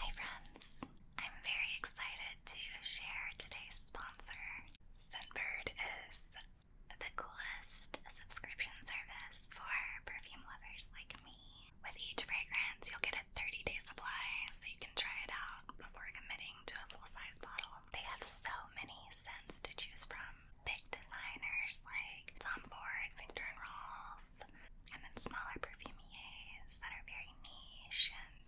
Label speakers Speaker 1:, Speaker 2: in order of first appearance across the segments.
Speaker 1: Hi friends! I'm very excited to share today's sponsor. Sunbird is the coolest subscription service for perfume lovers like me. With each fragrance, you'll get a 30-day supply so you can try it out before committing to a full-size bottle. They have so many scents to choose from. Big designers like Tom Ford, Victor and Rolf, and then smaller perfumiers that are very niche and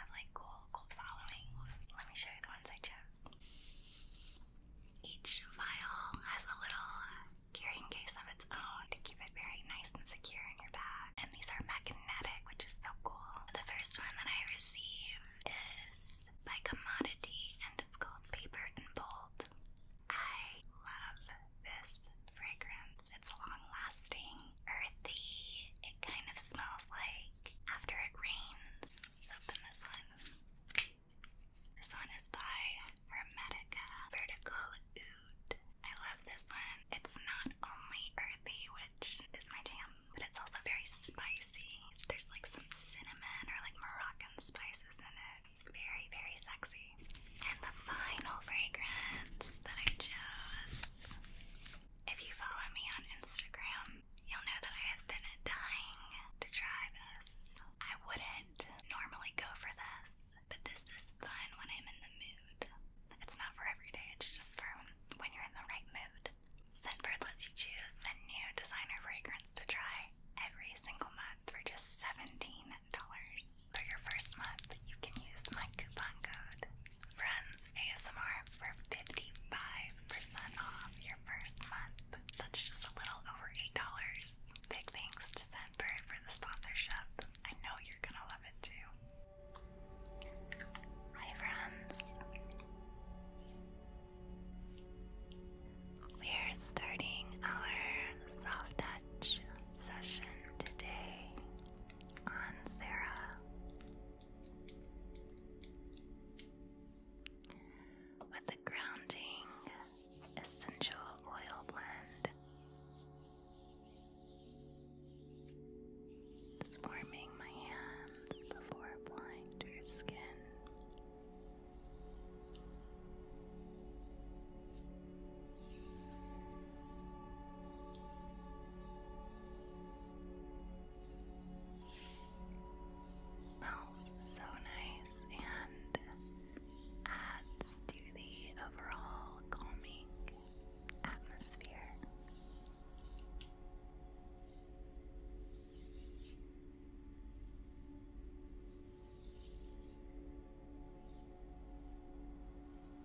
Speaker 1: have like cool, cool followings. Let me show you the ones I chose. Each vial has a little carrying case of its own to keep it very nice and secure in your bag. And these are magnetic, which is so cool. The first one that I received is by Commodity and it's called Paper and Bold. I love this fragrance. It's long lasting, earthy. It kind of smells like after it rains. Let's open this one. This one is by Hermetica Vertical Oud. I love this one. It's not only earthy, which is my jam, but it's also very spicy. There's like some cinnamon or like Moroccan spices in it. It's very, very sexy. And the final fragrance that I chose. If you follow me on Instagram, you'll know that I have been dying to try this. I wouldn't normally go for this, but this is fun when I'm in the mood. It's not for every day, it's just for when you're in the right mood. Scentbird lets you choose a new designer fragrance to try every single month for just 17 for your first month, you can use my coupon code Friends ASMR for 55% off your first month. That's just a little over $8. Big thanks to Scentbird for the sponsorship. I know you're gonna love it too. Hi friends. We're starting our soft touch session today on Sarah. With a grounding essential oil blend, it's warming my hands before applying to your skin. Smells so nice and adds to the overall calming atmosphere.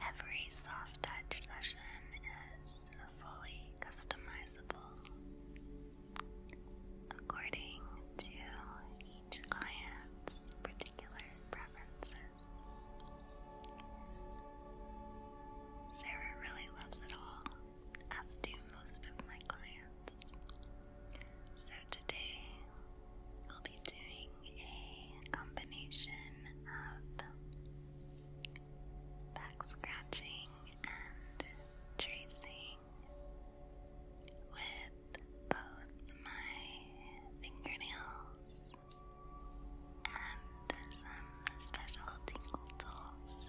Speaker 1: Every soft touch session is fully customizable according to each client's particular preferences. Sarah really loves it all, as do most of my clients. So today we'll be doing a combination of back scratching and tracing with both my fingernails and some special tools.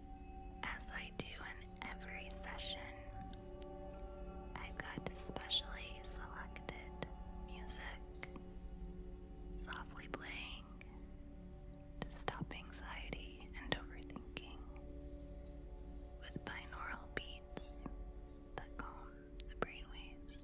Speaker 1: As I do in every session, I've got specially selected music, softly playing to stop anxiety and overthinking, with binaural beats that calm the brainwaves.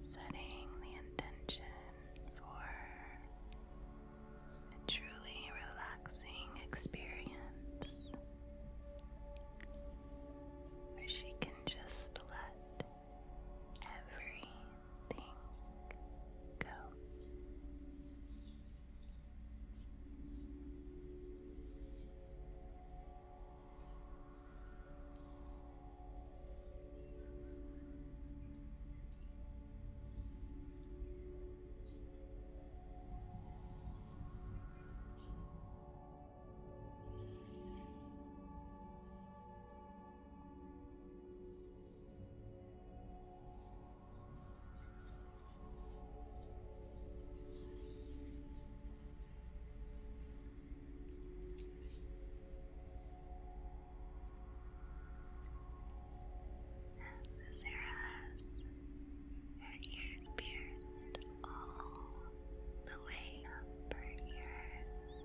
Speaker 1: Setting the intention for a truly relaxing experience where she can just let every Think. Go. Sarah has her ears pierced all the way up her ears.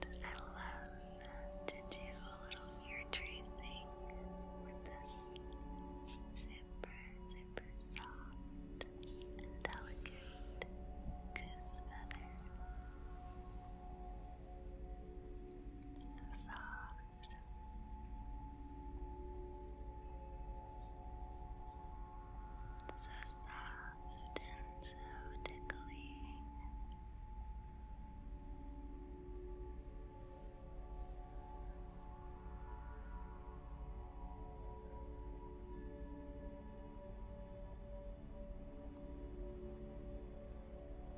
Speaker 1: And I love to do a little ear tracing with this super, super soft and delicate goose feather soft. So soft and so tickly.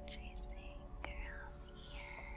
Speaker 1: Chasing around here.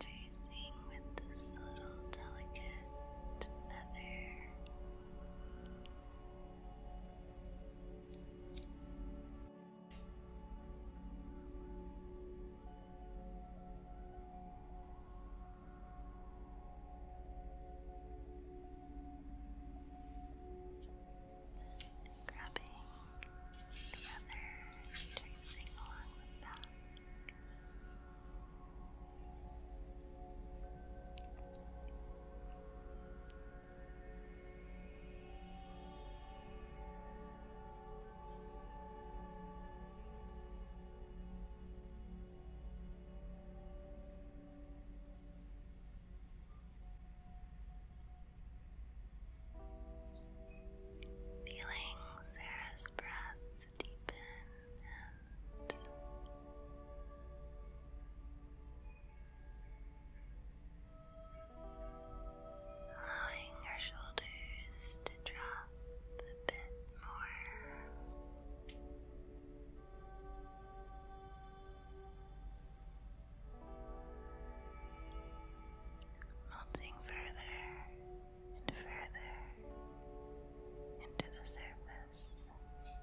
Speaker 1: Tracing with this little delicate feather grabbing the other and tracing along the back. Now Feeling Sarah's breath deepen and allowing her shoulders to drop a bit more melting further and further into the surface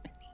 Speaker 1: beneath.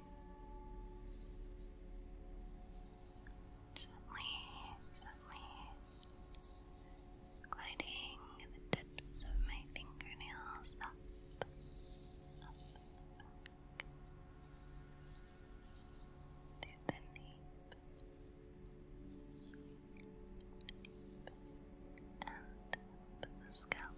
Speaker 1: Gently, gently gliding the tips of my fingernails up, up, through the nape, and the scalp.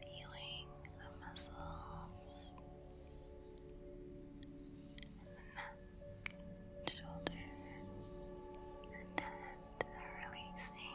Speaker 1: Feeling the muscles neck, shoulders, and head releasing.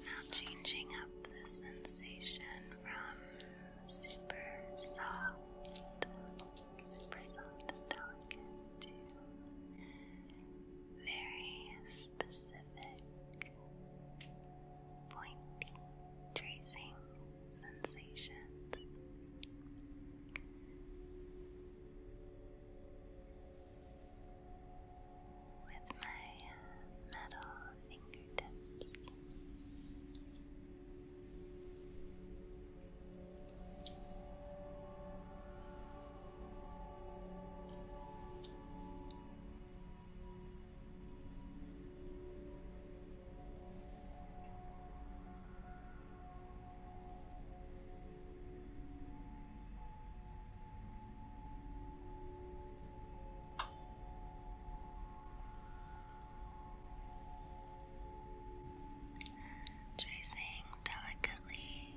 Speaker 1: Now changing up the sensation from super soft, super soft delicate to very specific, pointy, tracing sensations with my metal fingertips. Tracing delicately.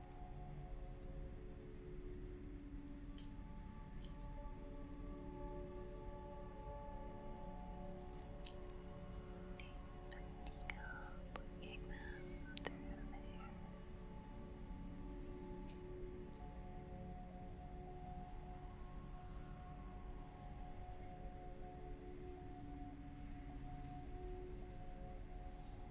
Speaker 1: scalp, working them through the hair. Good.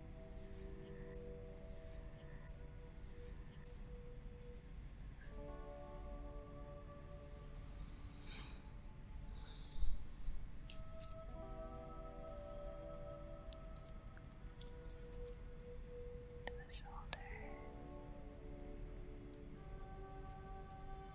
Speaker 1: to the shoulders. Down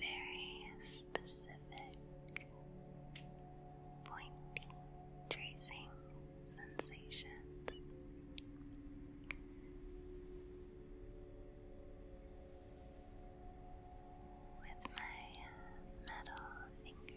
Speaker 1: Very specific pointy tracing sensations. With my metal fingers.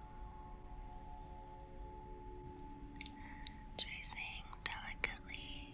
Speaker 1: tracing delicately.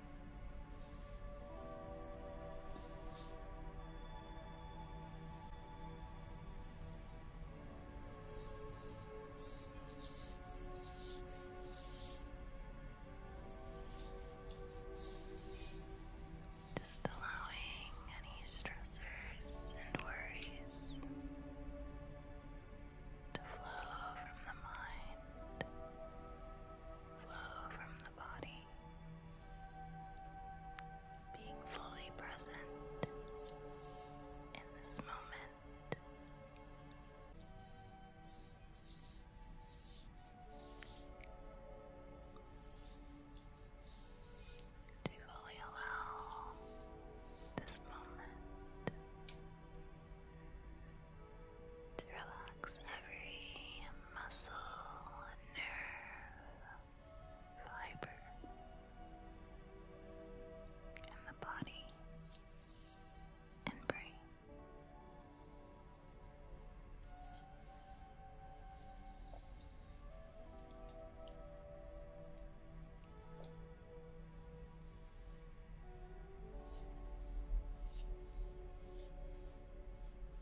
Speaker 1: Just allowing any stressors and worries to flow from the mind, flow from being fully present in this moment. To fully allow this moment to relax every muscle, nerve, fiber in the body and brain.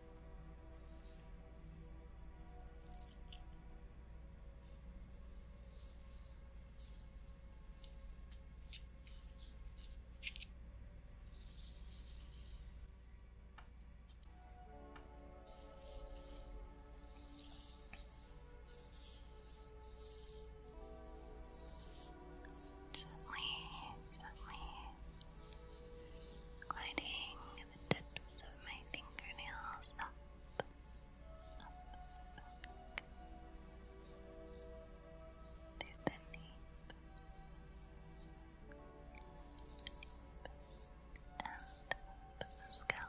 Speaker 1: Gently, gently gliding the tips of my fingernails up, up, up through the nape and up the scalp. Now,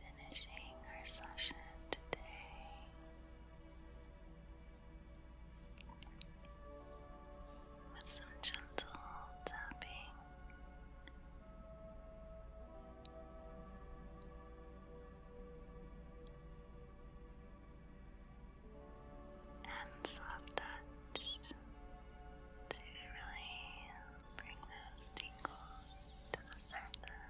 Speaker 1: Finishing our session today. With some gentle tapping and soft touch to really bring those tingles to the surface.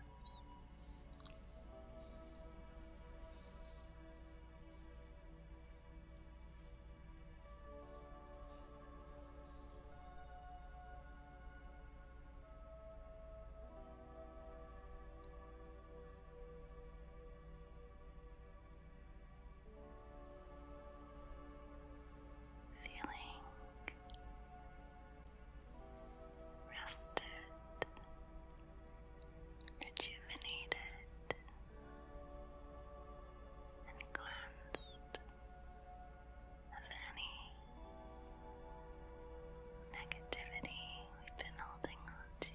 Speaker 1: Feeling rested, rejuvenated, and cleansed of any negativity we've been holding on to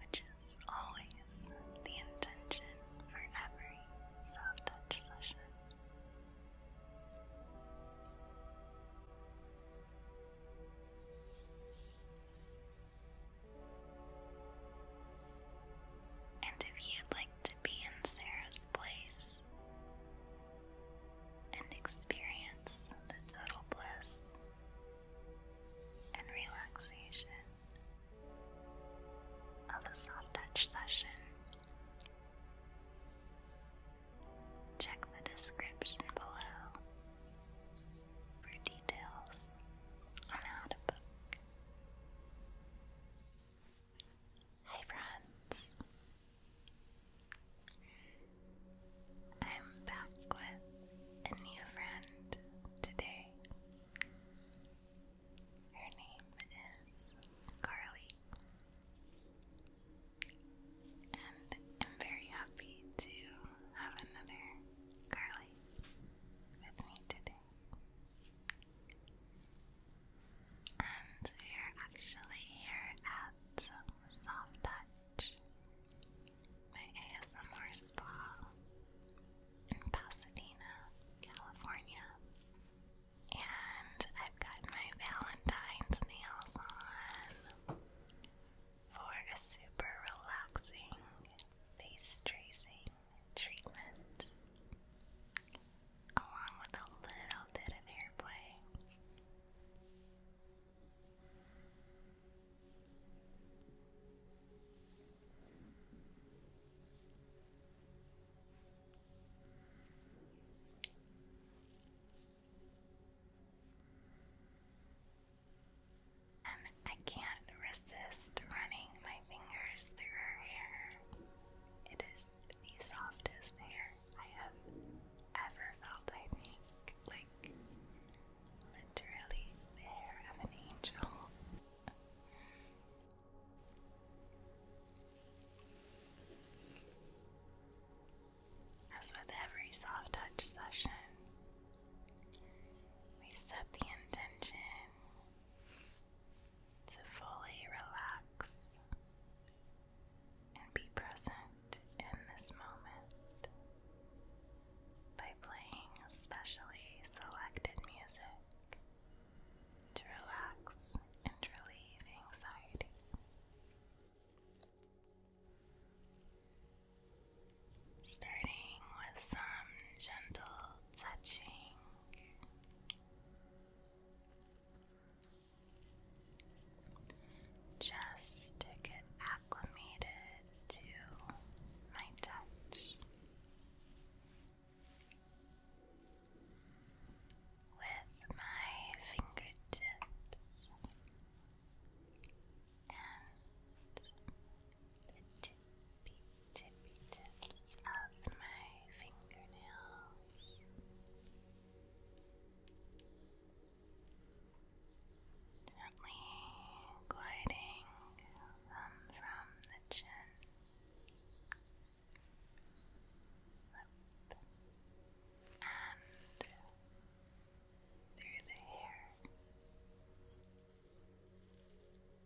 Speaker 1: which is always the intention for every soft touch session. And if you'd like to be in Sarah's place and experience the total bliss and relaxation of a soft touch session, check the description below for details on how to book. Hi friends. I'm back with a new friend today. Her name is Carly. And I'm very happy to have another Carly with me today. And we're actually here at Soft Touch, my ASMR spa in Pasadena, California. And I've got my Valentine's nails on for a super relaxing face tracing treatment along with a little bit of airplay and I can't resist running my fingers through her hair. It is the softest hair I have ever felt, I think. Like, literally, the hair of an angel. As with every soft touch session, we set the intention to fully relax and be present in this moment by playing specially selected music to relax and relieve anxiety. Starting with some gentle touching. Just to get acclimated to my touch. With my fingertips the tippy tippy tips of my fingernails. Gently gliding from the chin up and through the hair.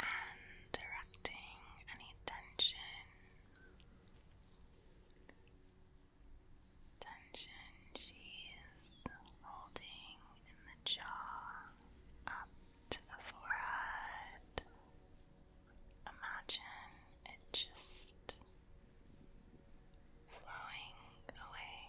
Speaker 1: and directing any tension. Tension she is holding in the jaw up to the forehead, Imagine it just flowing away.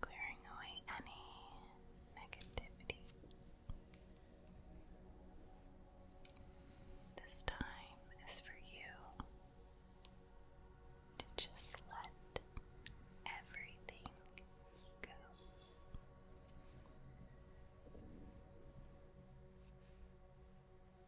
Speaker 1: Clearing away any negativity. This time is for you to just let everything go. And if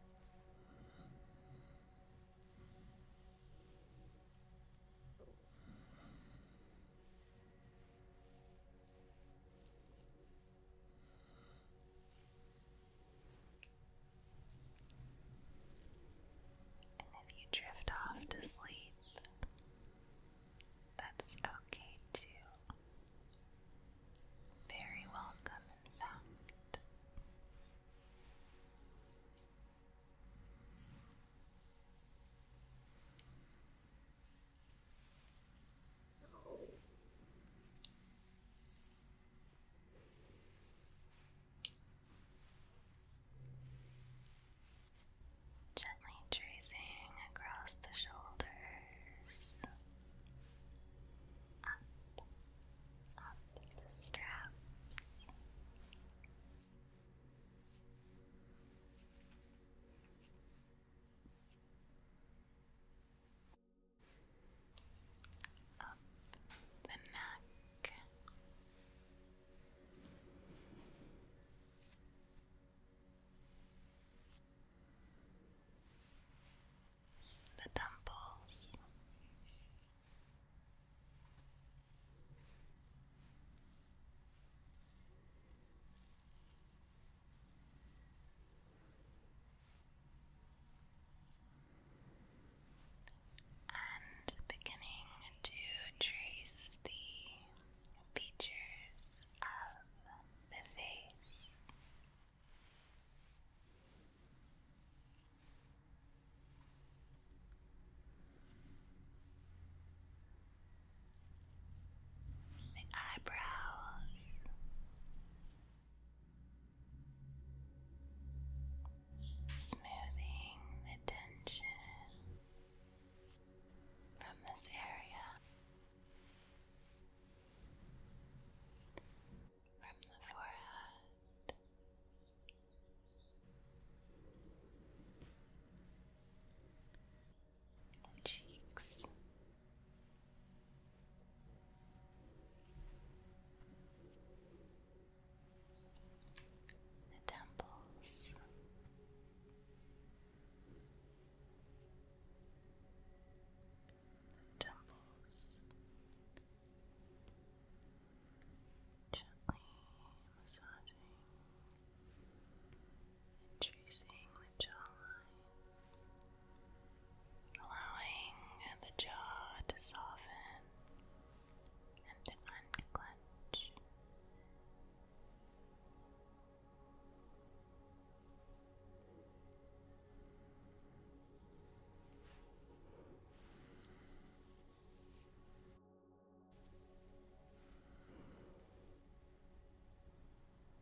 Speaker 1: you drift off to sleep, that's okay too. Very welcome, in fact. Gently tracing across the shoulders, up the straps. Up the neck the temples. And beginning to trace the features of the face the eyebrows. Smoothing the tension from this area from the forehead. cheeks. The temples temples. Gently massaging tracing the jawline, allowing the jaw to soften and to unclench.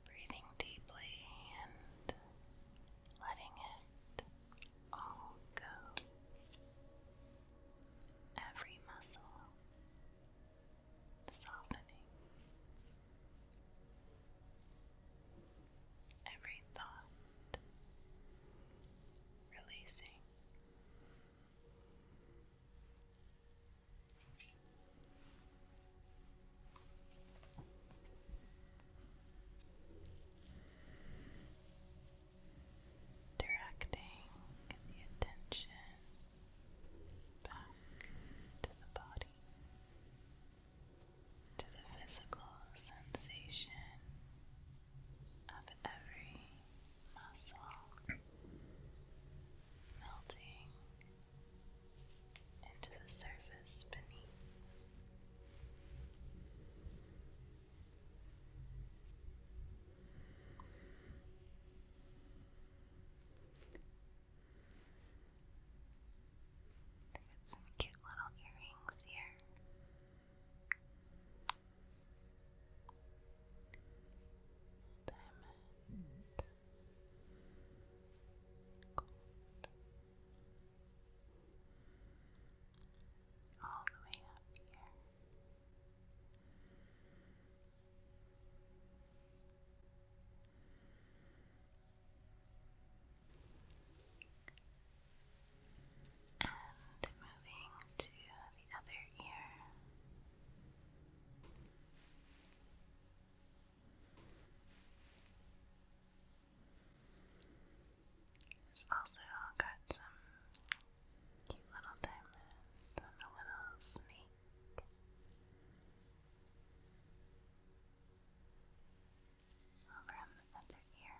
Speaker 1: Breathing deeply and letting it all go. Every muscle softening every thought, releasing. Directing the attention back to the body, to the physical sensation of every muscle melting into the surface beneath. got some cute little earrings here. Diamond. Gold. All the way up here. And moving to the other ear. There's also got some cute little diamonds and a little snake. Over on the other ear.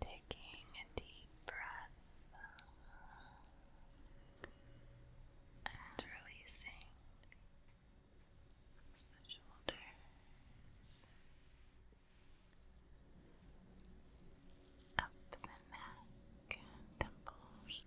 Speaker 1: Taking a deep breath and releasing the shoulders up the neck temples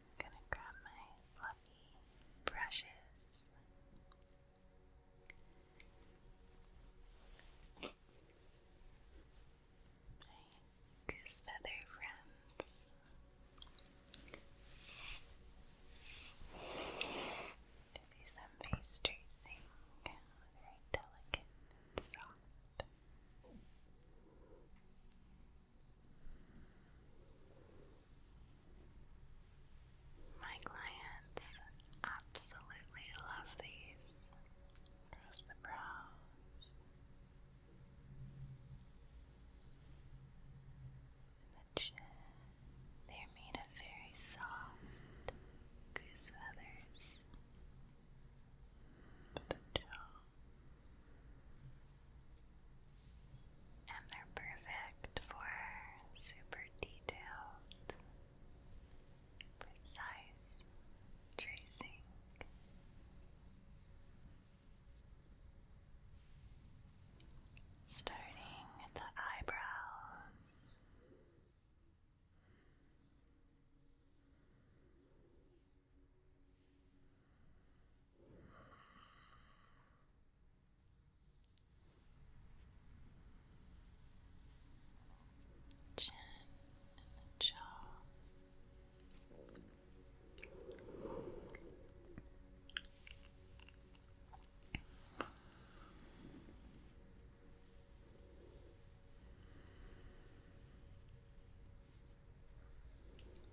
Speaker 1: I'm gonna grab my fluffy brushes. My goose feather friends do some face tracing, very delicate soft. My clients absolutely love these across the brows and the chin. They are made of very soft goose feathers. The jaw. And they're perfect for super detailed, precise tracing. Starting at the eyebrows Chin and the jaw. Neck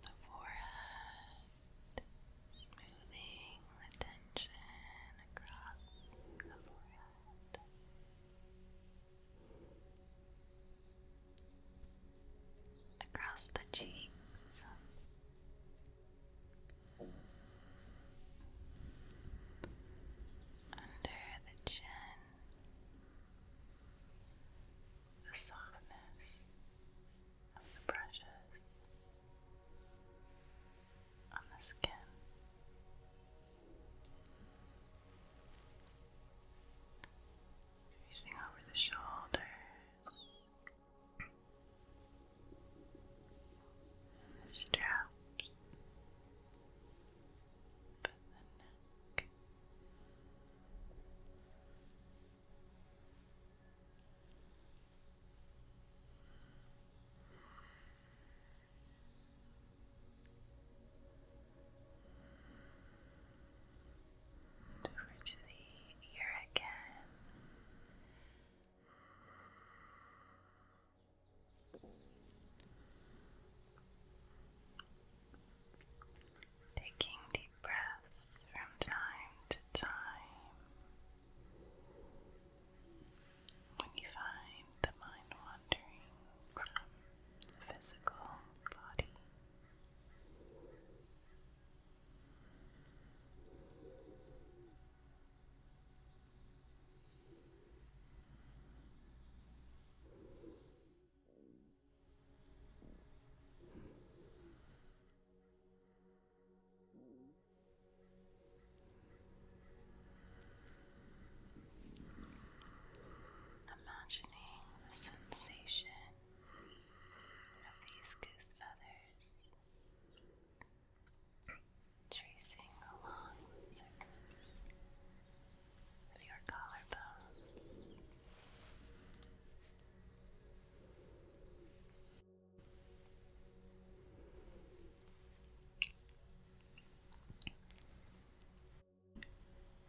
Speaker 1: the forehead, smoothing the across the forehead. Across the cheeks, under the chin, the softness of the brushes on the skin. Tracing over the shoulders, the straps, the neck. over to the ear again. Taking deep breaths from time to time. When you find the mind wandering from the physical body, Imagining the sensation of these goose feathers tracing along your collarbone.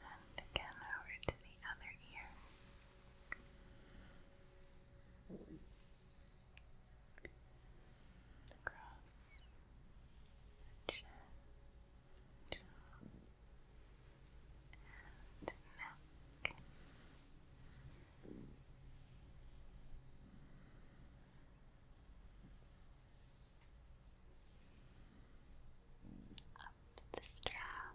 Speaker 1: And again over to the other ear across the chin, jaw, neck. Up the straps.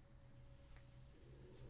Speaker 1: The nose.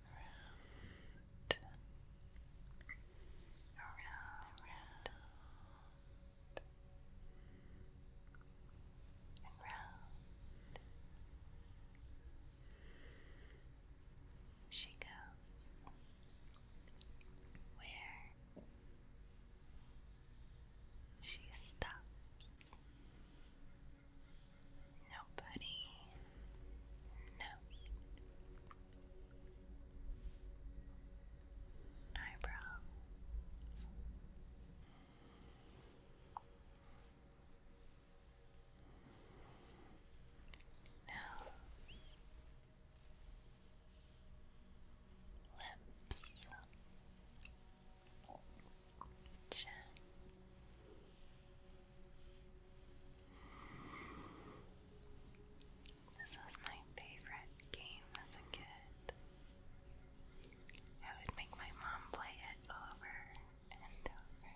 Speaker 1: around, around, around, and round. She goes where she stops. Nobody nose, eyebrow, nose, lips, chin. This was my favorite game as a kid. I would make my mom play it over and over.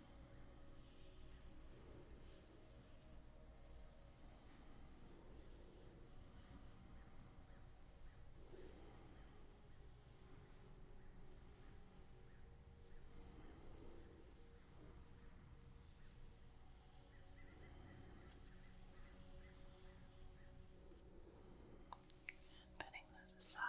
Speaker 1: And putting those aside.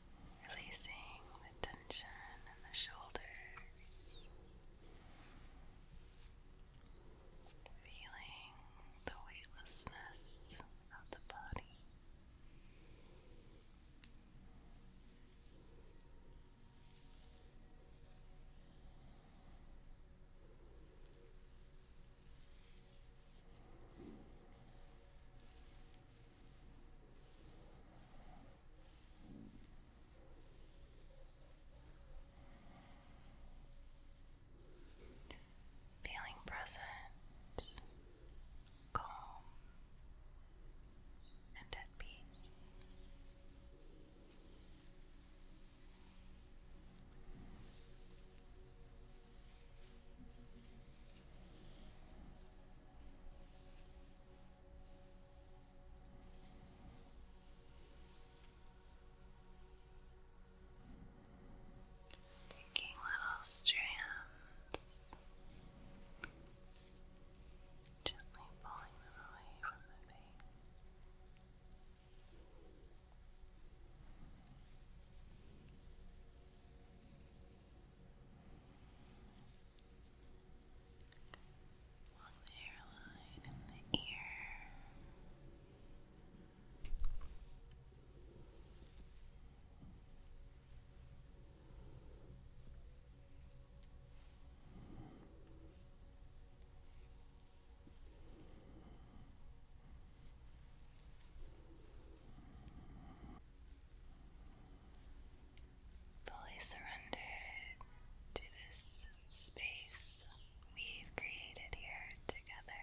Speaker 1: releasing the tension in the shoulders, feeling the weightlessness of the body. Feeling present, calm, and at peace. Sticking little strands, gently pulling them away from the vein along the hairline and the ear fully surrender to this space we've created here together.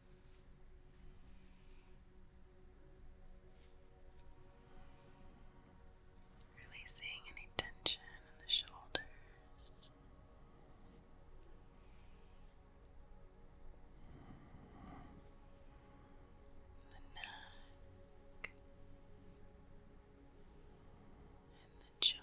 Speaker 1: Releasing any tension in the shoulders. The neck and the jaw,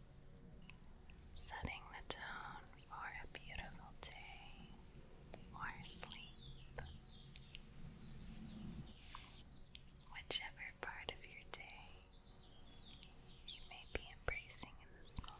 Speaker 1: setting the tone for a beautiful day or sleep. Whichever part of your day you may be embracing in this moment.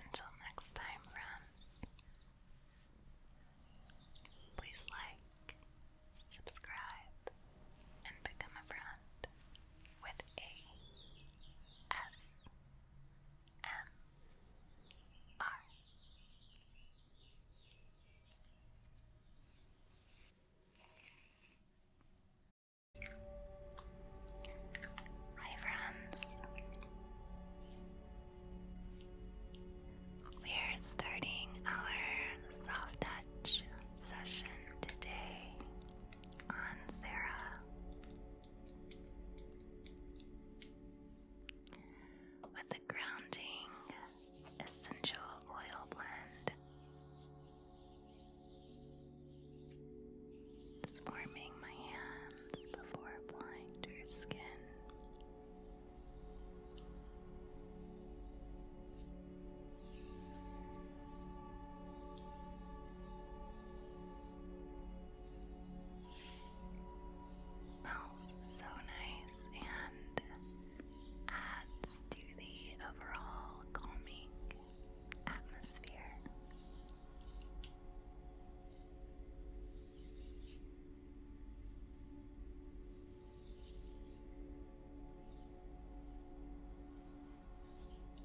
Speaker 1: Until next time, friends, please like, subscribe, and become a friend with a S M R. Hi, friends. We're starting our soft touch session today on Sarah. With a grounding essential oil blend, it's warming my hands before applying to your skin. Smells so nice and adds to the overall calming atmosphere.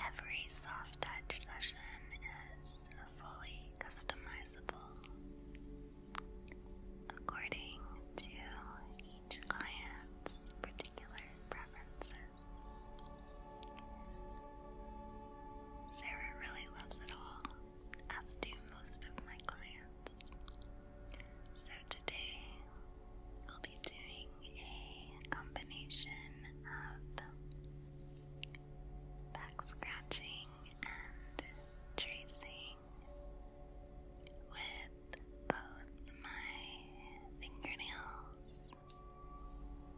Speaker 1: Every soft touch session is fully customizable according to each client's particular preferences. Sarah really loves it all, as do most of my clients. So today we'll be doing a combination of back scratching and tracing with both my fingernails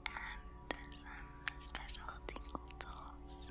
Speaker 1: and some special tingle tools.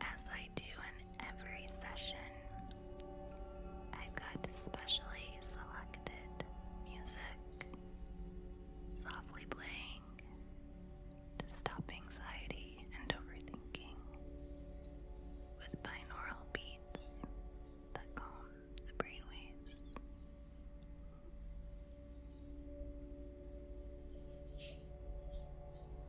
Speaker 1: As I do in every session, I've got specially selected music softly playing to stop anxiety and overthinking with binaural beats that calm the brainwaves.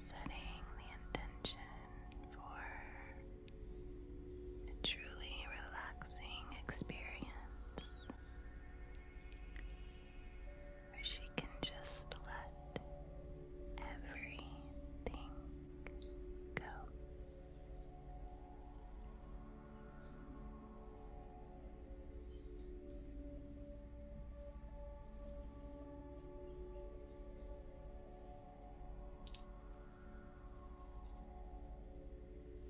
Speaker 1: Setting the intention for a truly relaxing experience where she can just let everything go. Sarah's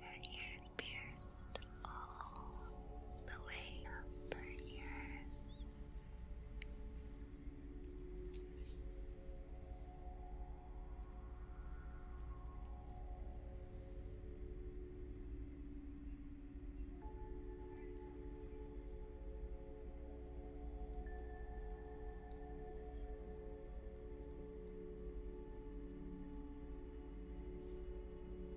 Speaker 1: her ears his beard all the way up her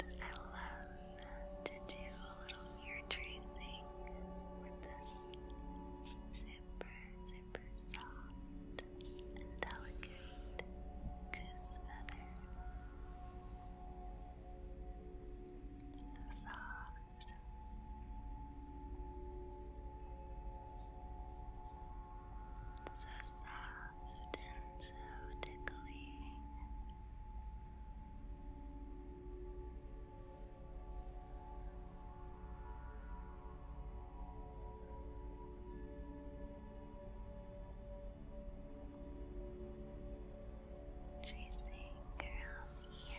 Speaker 1: And I love to do a little ear tracing with this super, super soft delicate goose feather. Soft. So soft and so tickling. Tracing around here.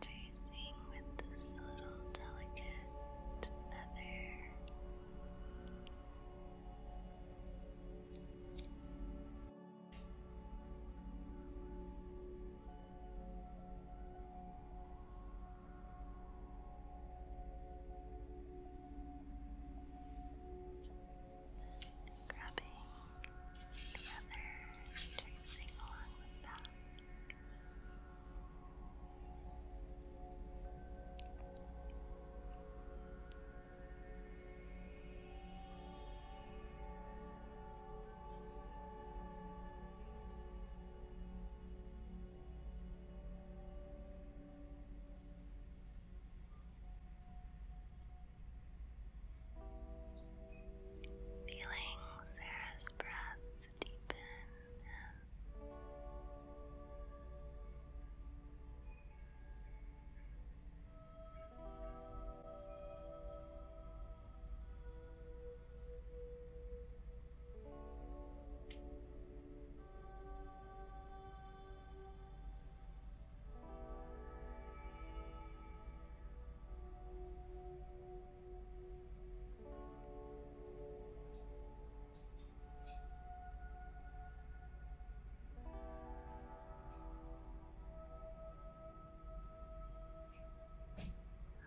Speaker 1: tracing with this little delicate feather. Grabbing the other, tracing along the path. Feelings, there is this breath deepen and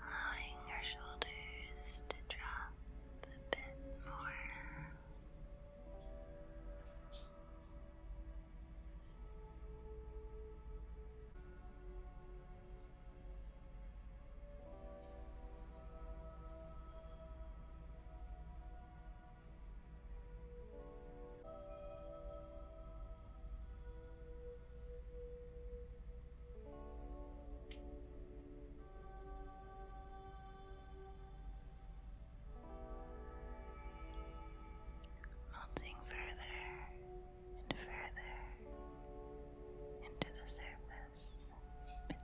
Speaker 1: Allowing your shoulders to drop a bit more. Melting further and further into the surface beneath.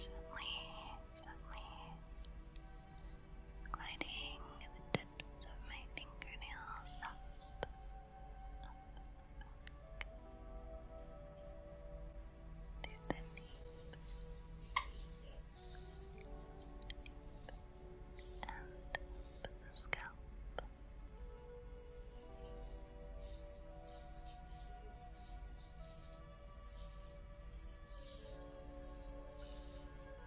Speaker 1: Gently, gently gliding the tips of my fingernails up, up, up through the knees and up the scalp.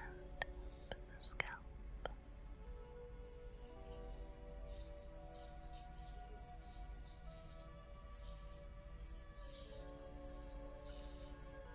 Speaker 1: And the scalp. Good.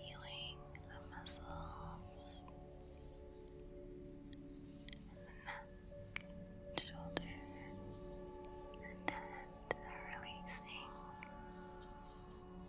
Speaker 1: Feeling the muscles neck, shoulders, and head are releasing.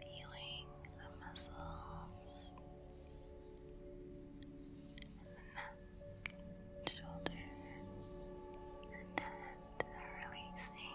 Speaker 1: Feeling the muscles neck, shoulders, and head are releasing.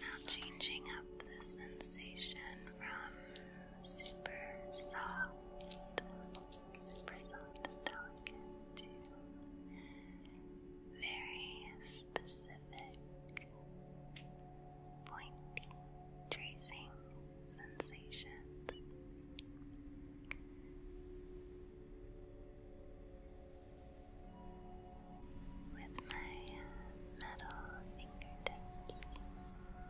Speaker 1: Now, changing up the sensation from super soft, super soft delicate to very specific, pointy, tracing sensations with my metal fingertips. Now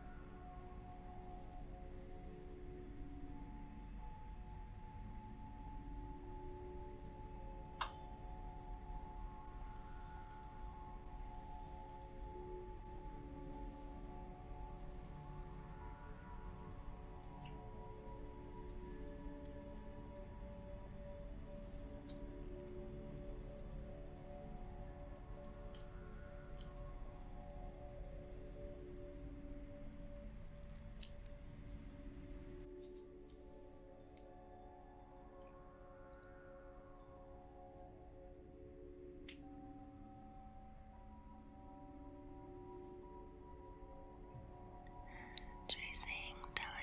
Speaker 1: Tracing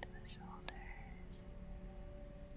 Speaker 1: to the shoulders. Down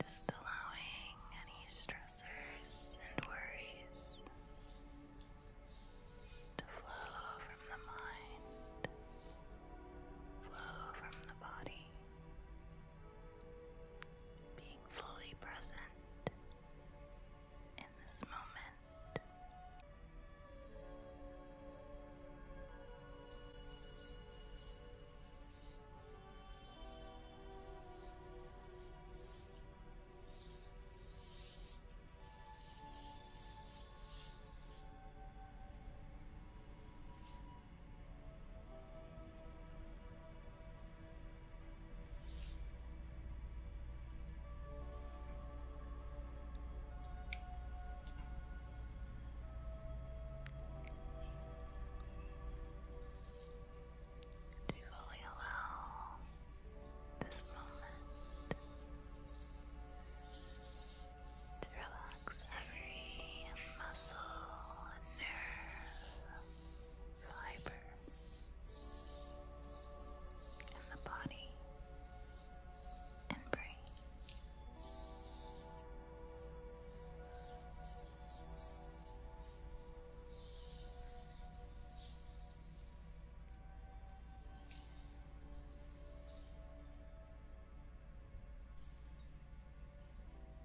Speaker 1: Just allowing any stressors and worries to flow from the mind, flow from the body being fully present in this moment. To fully allow this moment to relax every muscle, nerve, fiber in the body and brain.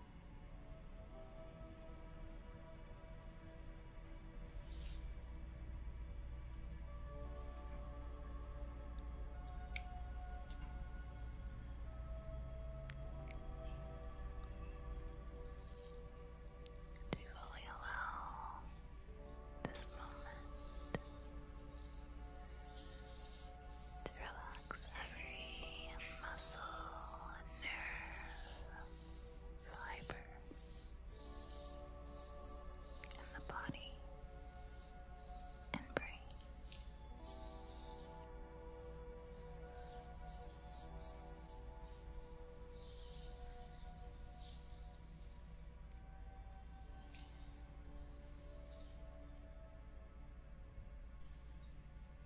Speaker 1: To fully allow this moment to relax every muscle nerve fiber in the body and brain.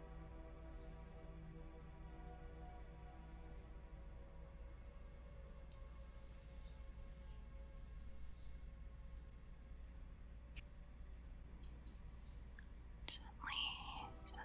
Speaker 1: Gently, gently. Good.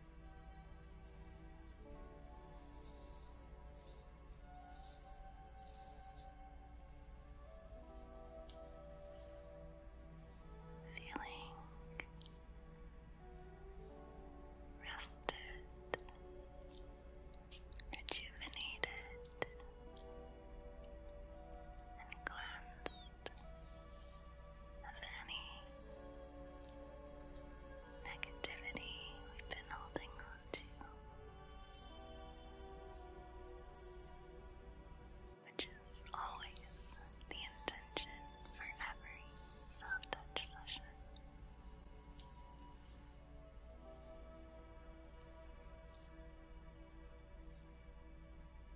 Speaker 1: Feeling rested, rejuvenated, and cleansed of any negativity we've been holding on to. Which is always the intention for every self touch session.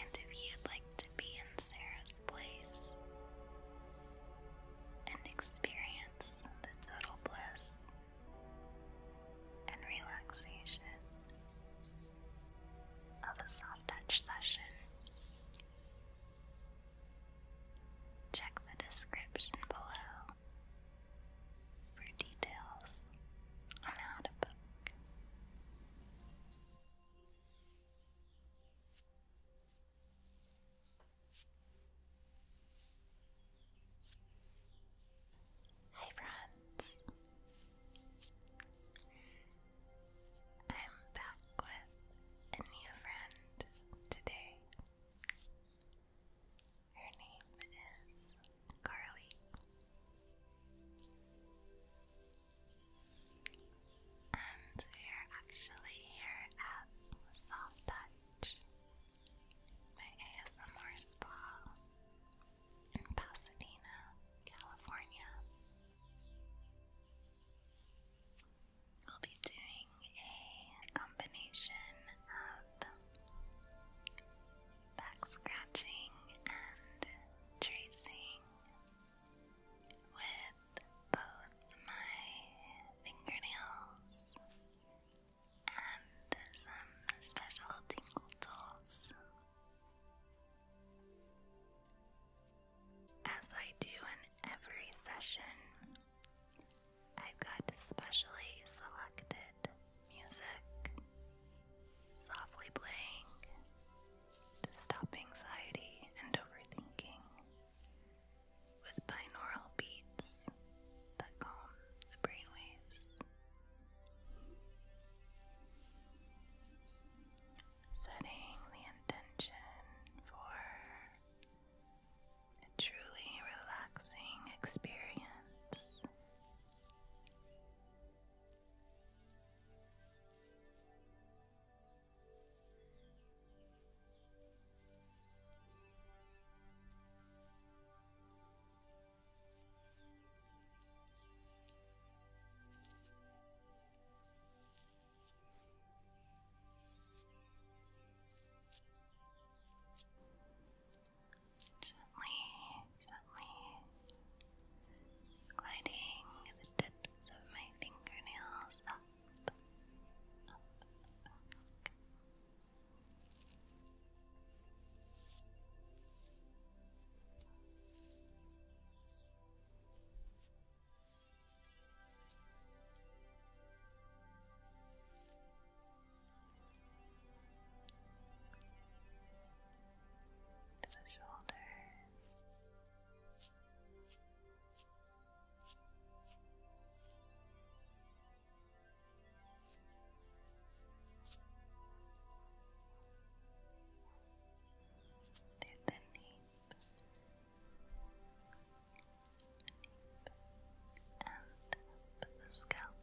Speaker 1: And if you'd like to be in Sarah's place and experience the total bliss and relaxation of a soft touch session. Check the description below for details on how to book. Hi friends. I'm back with a new friend today. Her name is Carly and we're actually here at Soft Touch, my ASMR spa in Pasadena, California. We'll be doing a combination of back scratching and tracing with both my fingernails and some special tingle tools. As I do in every session, I've got specially selected music, softly playing to stop anxiety and overthinking with binaural beats that calm the brainwaves. Setting the intention for a truly relaxing experience. Gently, gently gliding the tips of my fingernails up, up, To the shoulders, they're the nape, nape and the scalp.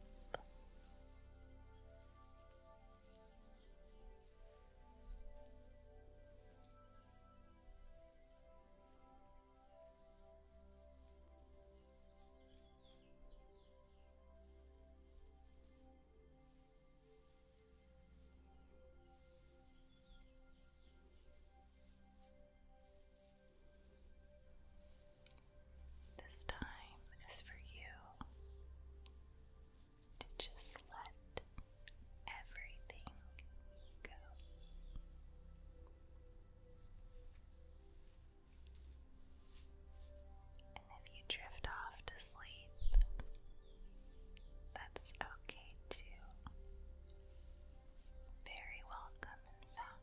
Speaker 1: This time is for you to just let everything go. And if you drift off to sleep, that's okay too. Very welcome, in fact.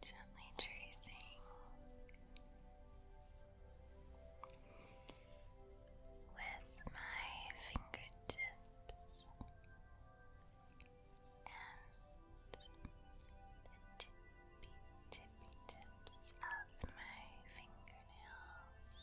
Speaker 1: Gently tracing with my fingertips and the tips of my fingernails.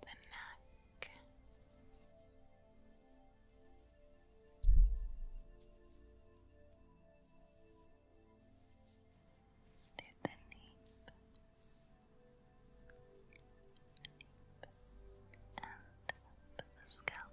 Speaker 1: the neck. Through the nape, and up the scalp.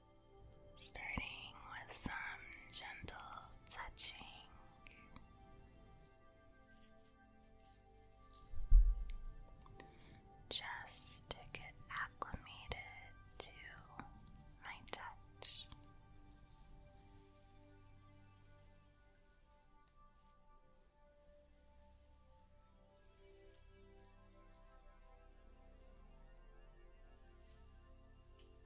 Speaker 1: starting with some gentle touching. Just to get acclimated to my touch.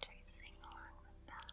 Speaker 1: Tracing along the back.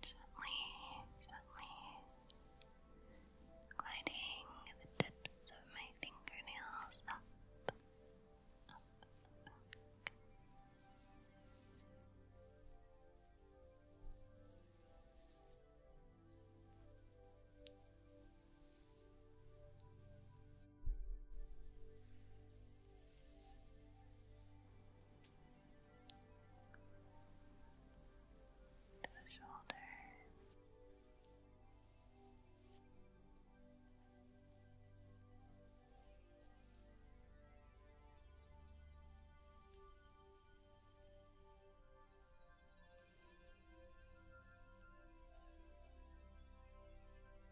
Speaker 1: Gently, gently gliding the tips of my fingernails up, up, to the shoulders. Down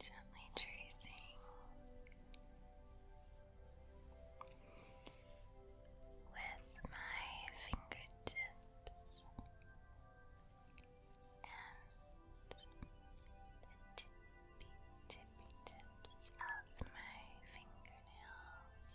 Speaker 1: Gently tracing with my fingertips and the tips of my fingernails.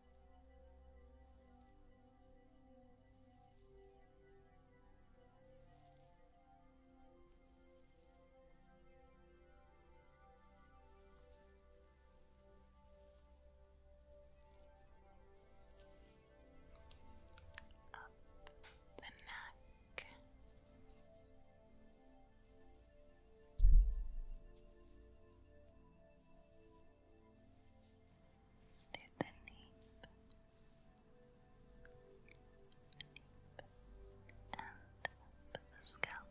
Speaker 1: Up the neck. Down the nape, and the scalp.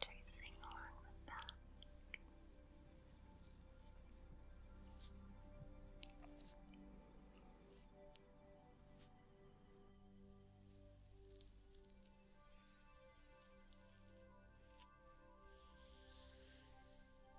Speaker 1: Tracing along the back. Now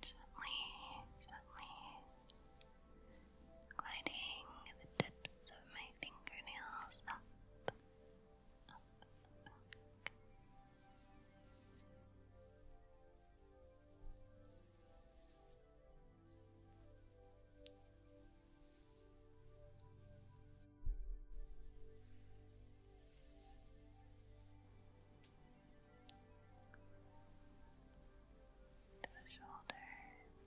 Speaker 1: Gently, gently gliding the tips of my fingernails to the shoulders. Down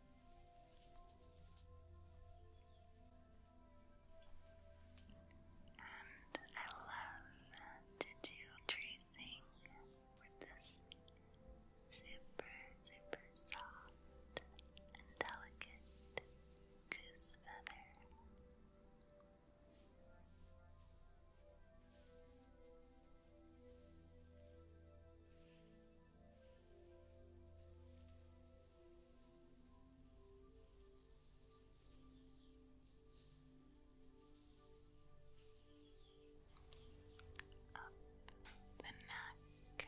Speaker 1: And I love to do tracing with this super, super soft and delicate goose feather. Up the neck. Down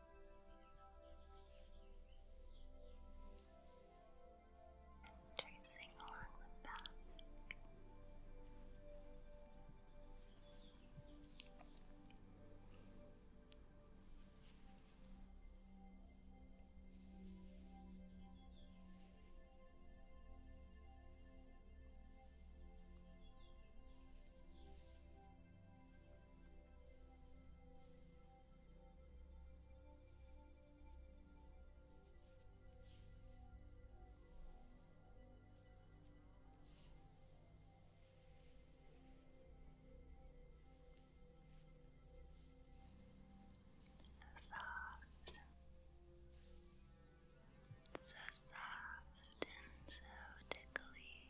Speaker 1: Tracing along the back. Just Soft, so soft and so tickling.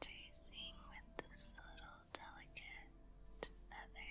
Speaker 1: Tracing with this little delicate feather.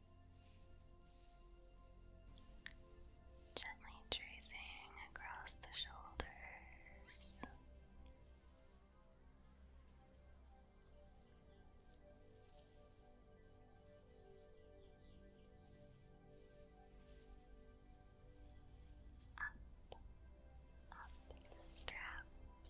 Speaker 1: Gently tracing across the shoulders. Up, up the straps,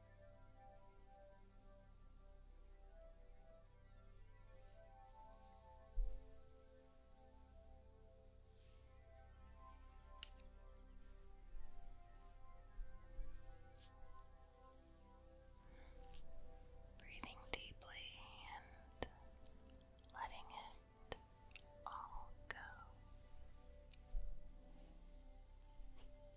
Speaker 1: Breathing deeply and letting it all go.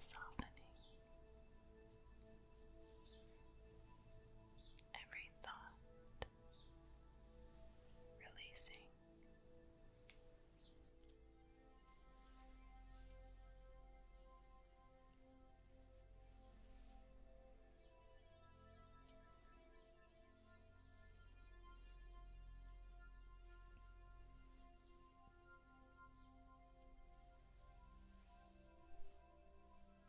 Speaker 1: Softening every thought releasing. Now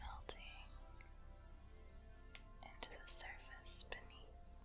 Speaker 1: melting into the surface beneath. Now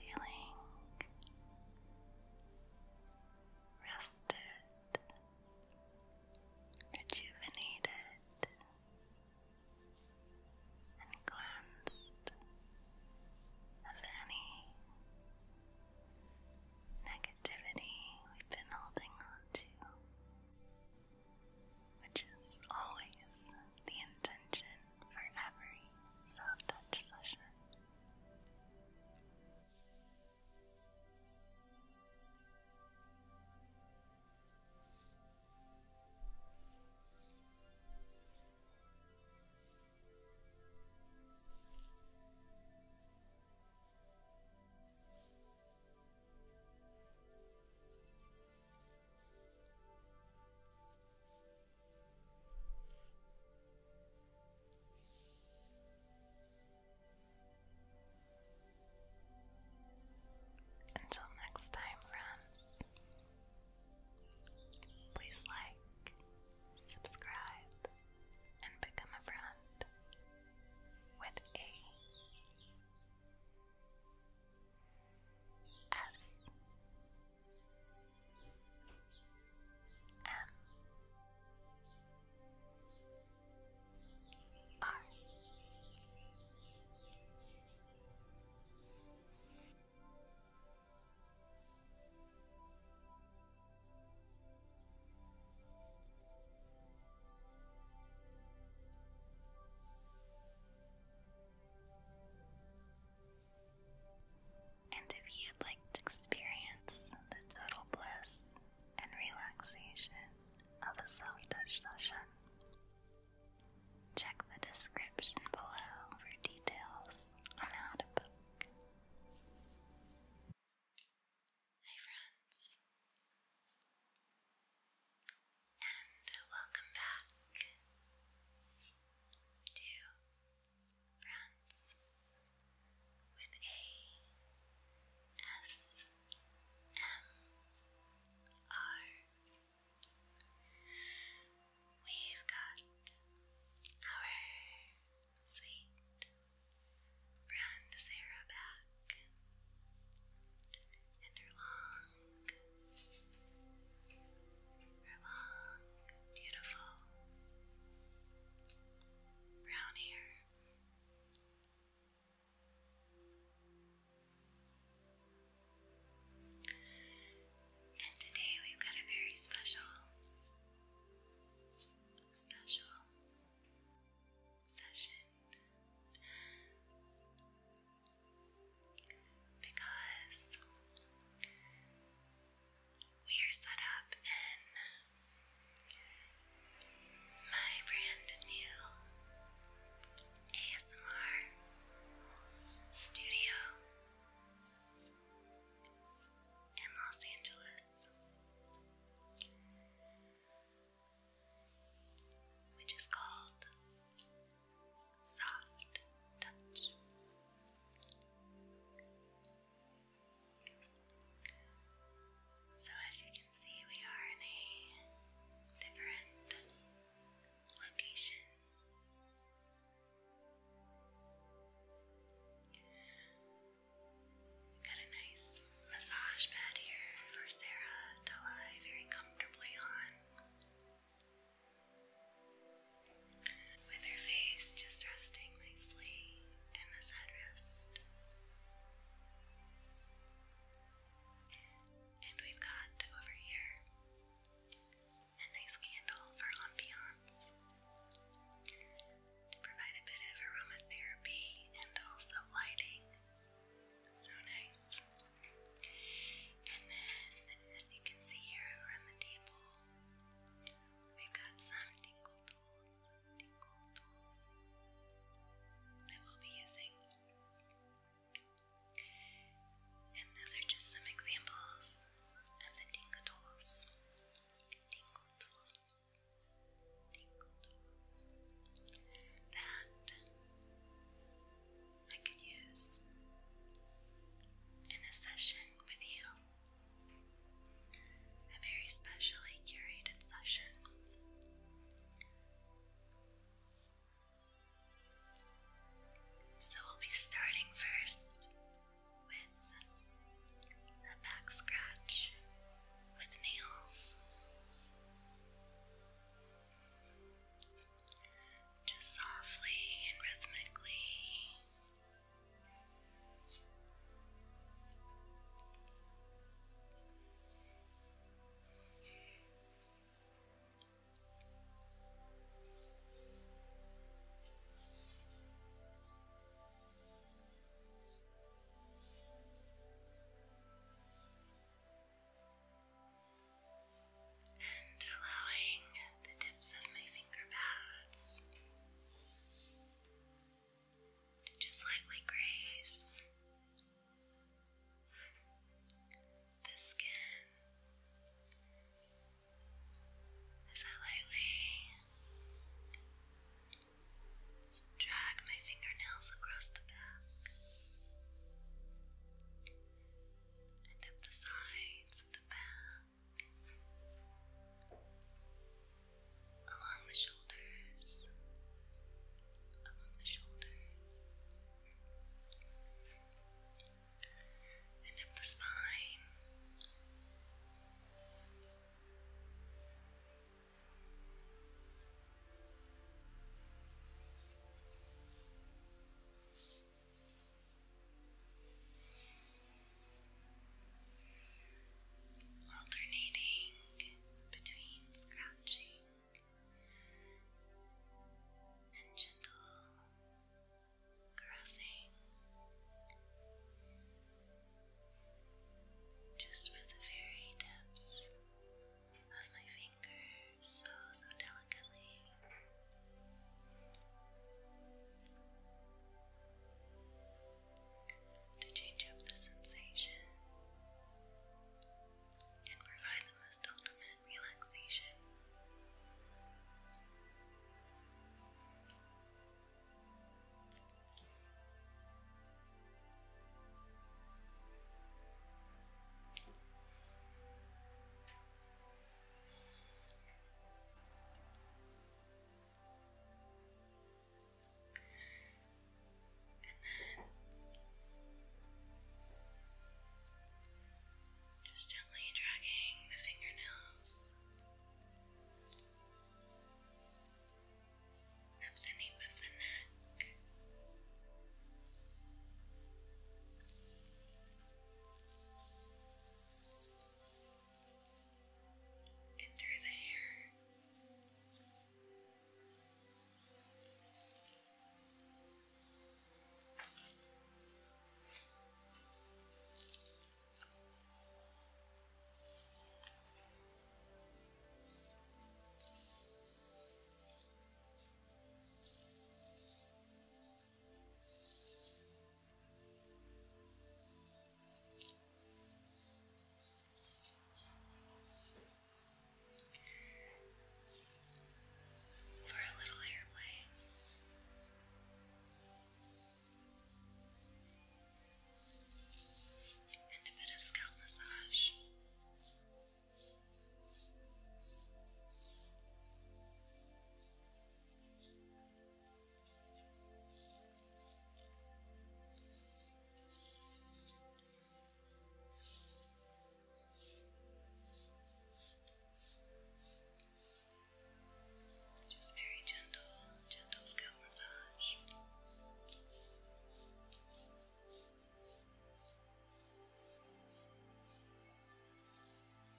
Speaker 1: feeling rested, rejuvenated, and cleansed of any negativity we've been holding on to which is always the intention for every self touch session. Until next time, friends, please like, subscribe, and become a friend with A. S M R and if you'd like to experience the total bliss and relaxation of a self touch session, check the description below for details on how to book. Hi, friends! And welcome back to Friends with a S M R. We've got our sweet friend Sarah back and her long, her long, beautiful brown hair. And today we've got a very special, special session because we are set up in my brand new ASMR studio in Los Angeles. Which is called so, as you can see, we are in a different location. got a nice massage pad here for Sarah to lie very comfortably on. With her face just resting nicely in this headrest. And we've got over here a nice candle for ambiance to provide a bit of aromatherapy and also lighting. So nice. And then, as you can see here around the table, we've got some tingle tools, tingle tools that we'll be using. And those are just some examples of the tingle tools. Tingle tools. Tingle tools. That I could use in a session with you. A very specially curated session. So we'll be starting first with a back scratch with nails just softly and rhythmically and allowing the tips of my finger pads to just lightly graze the skin as I lightly drag my fingernails across the back and up the sides of the back, along the shoulders, along the shoulders, and up the spine alternating between scratching and gentle caressing, just with the very tips of my fingers, so so delicately to change up the sensation and provide the most ultimate relaxation just gently dragging the fingernails up the nape of the neck and through the hair. Now for a little airplane. And a bit of scalp massage. Just very gentle, gentle scalp massage.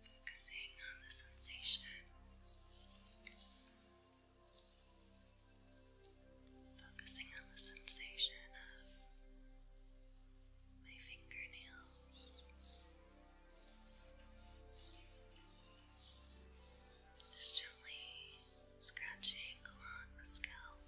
Speaker 1: Focusing on the sensation, focusing on the sensation of my fingernails. Just gently scratching along the scalp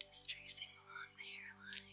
Speaker 1: just tracing along the hairline.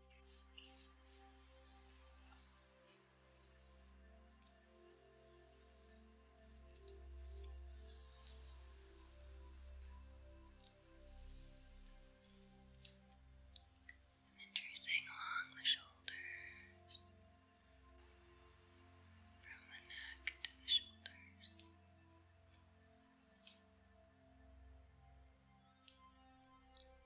Speaker 1: And tracing along the shoulders, from the neck to the shoulders.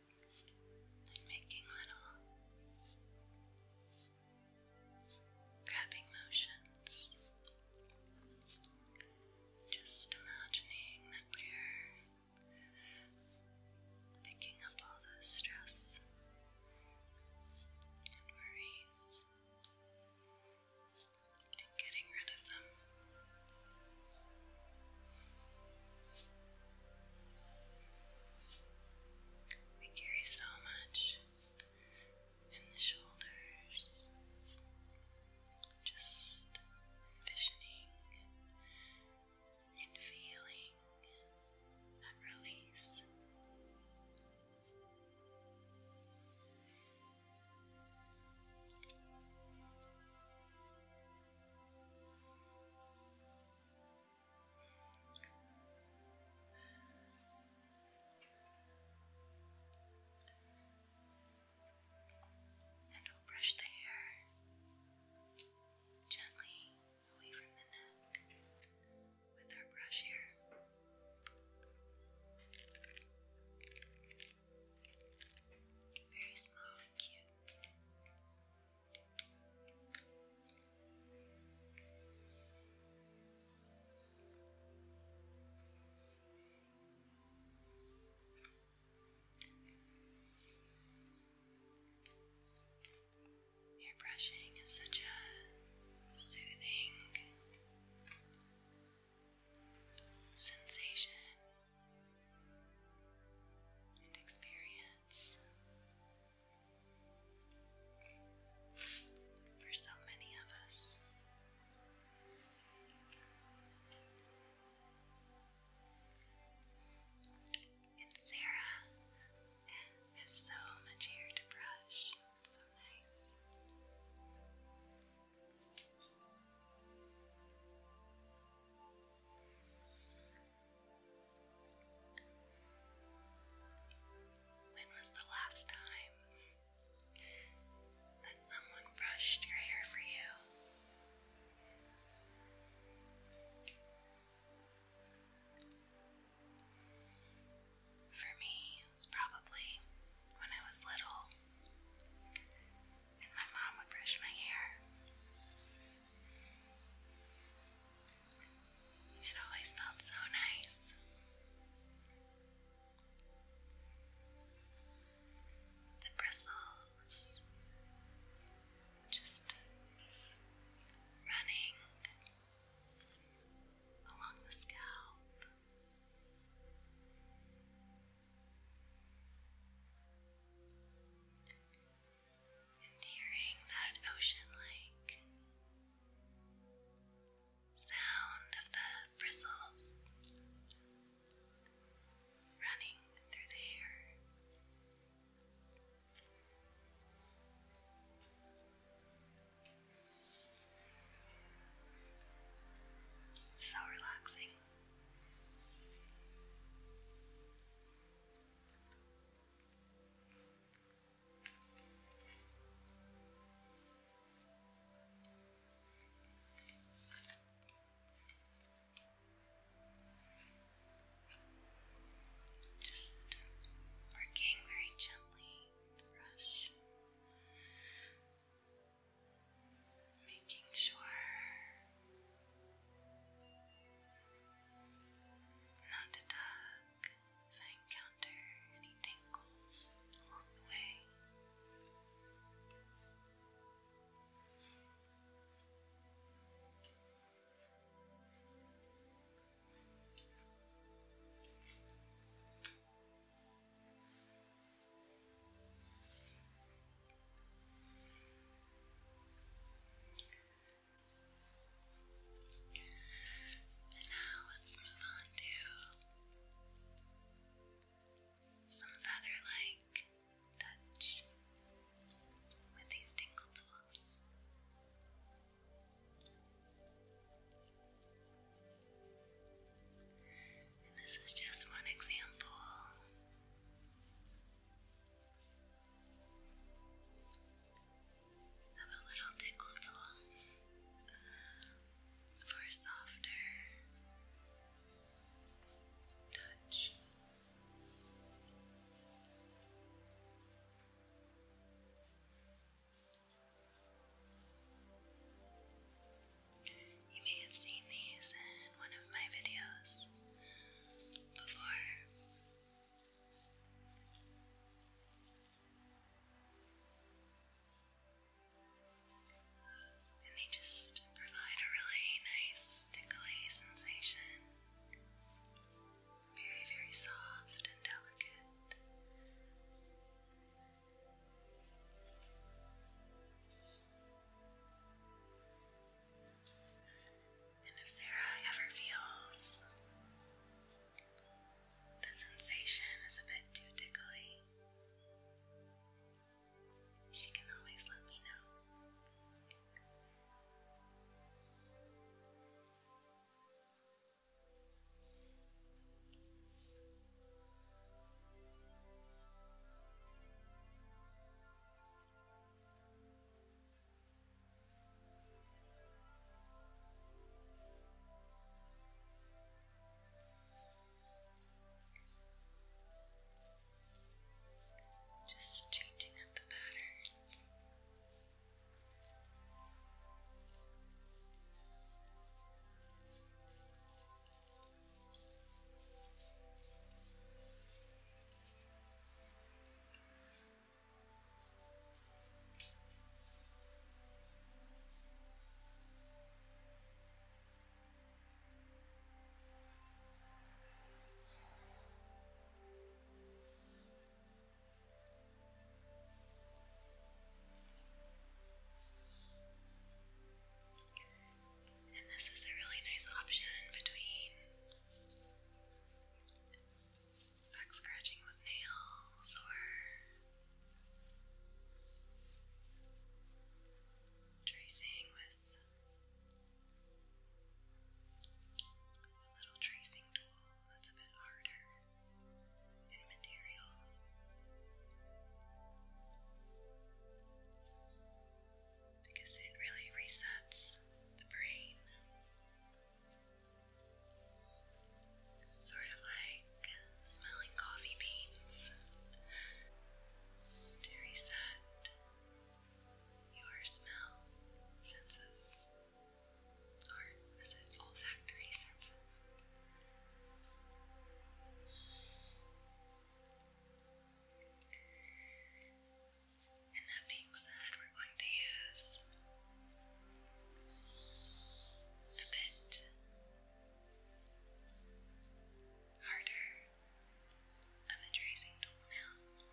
Speaker 1: and making little grabbing motions. Just imagining that we're picking up all those stress and worries and getting rid of them. We carry so much in the shoulders. Just envisioning and feeling that release. And we'll brush the hair gently away from the neck with our brush here. Very small and cute. Hair brushing is such a soothing sensation and experience for so many of us. And Sarah has so much hair to brush. so nice. When was the last time that someone brushed your hair for you? For me, it's probably when I was little and my mom would brush my hair. It always felt so nice. The bristles just running along the scalp and hearing that ocean like sound of the bristles running through the hair. So relaxing. Just working very gently brush, making sure not to tug if I encounter any tingles along the way. And now let's move on to some feather like touch with these tingle tools. And this is just one example I'm a little tickle tool for a softer touch. You may have seen these in one of my videos before. And they just provide a really nice tickly sensation. Very, very soft and delicate. And if Sarah ever feels the sensation is a bit too tickly, she can always let me know. Just changing up the patterns. And this is a really nice option between Back scratching with nails or tracing with a little tracing tool that's a bit harder in material. Because it really resets the brain. Sort of like smelling coffee beans to reset your smell senses, or is it olfactory senses? And that being said, we're going to use a bit harder of a tracing tool now. And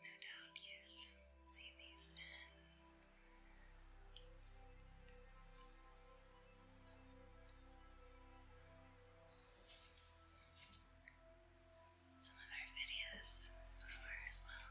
Speaker 1: no doubt you've these in some of our videos before as well.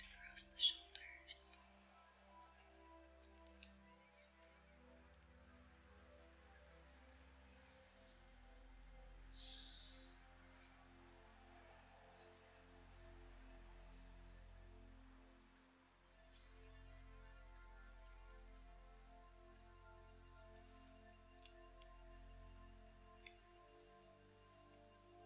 Speaker 1: across the shoulders. Across the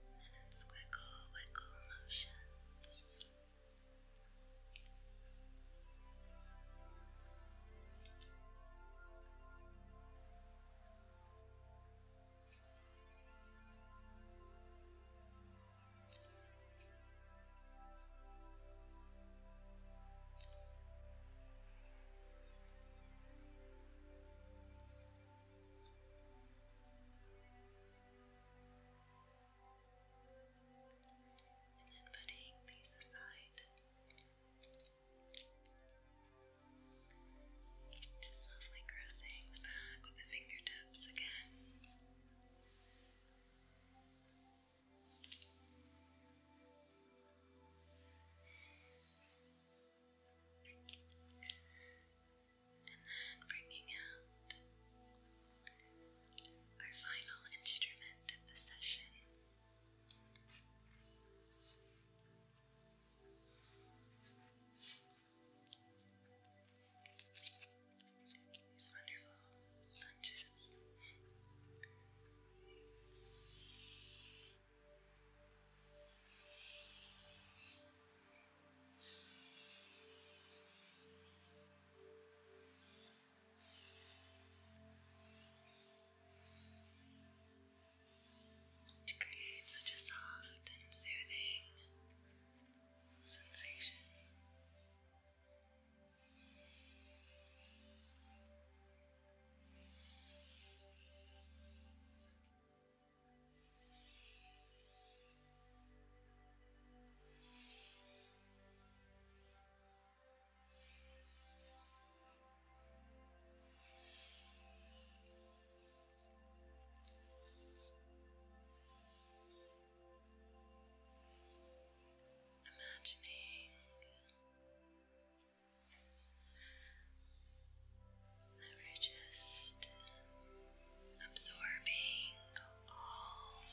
Speaker 1: and squiggle wiggle motions. Now, and putting these aside, just softly caressing the back with the fingertips again and then bringing out our final instrument of the session. These wonderful sponges to create such a soft and soothing sensation. Imagining we're just absorbing all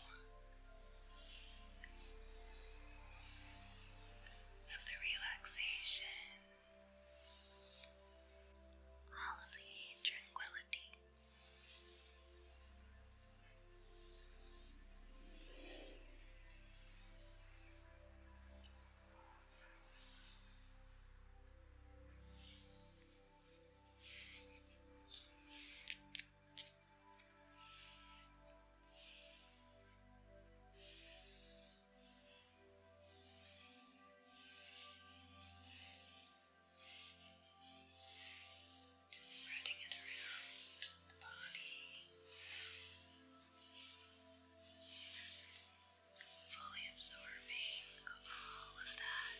Speaker 1: of the relaxation, all of the tranquility. Just spreading it around the body, fully absorbing all of that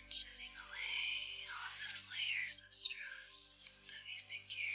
Speaker 1: and shedding away all those layers of stress that we've been carrying.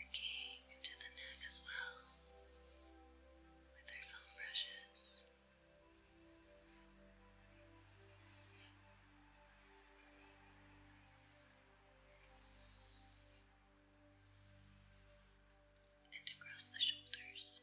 Speaker 1: Working to the neck as well with their foam brushes. And across the shoulders.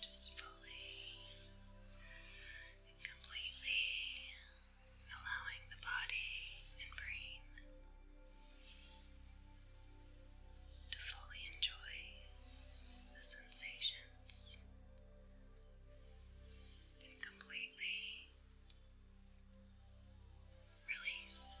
Speaker 1: Just fully and completely allowing the body and brain to fully enjoy the sensations and completely release.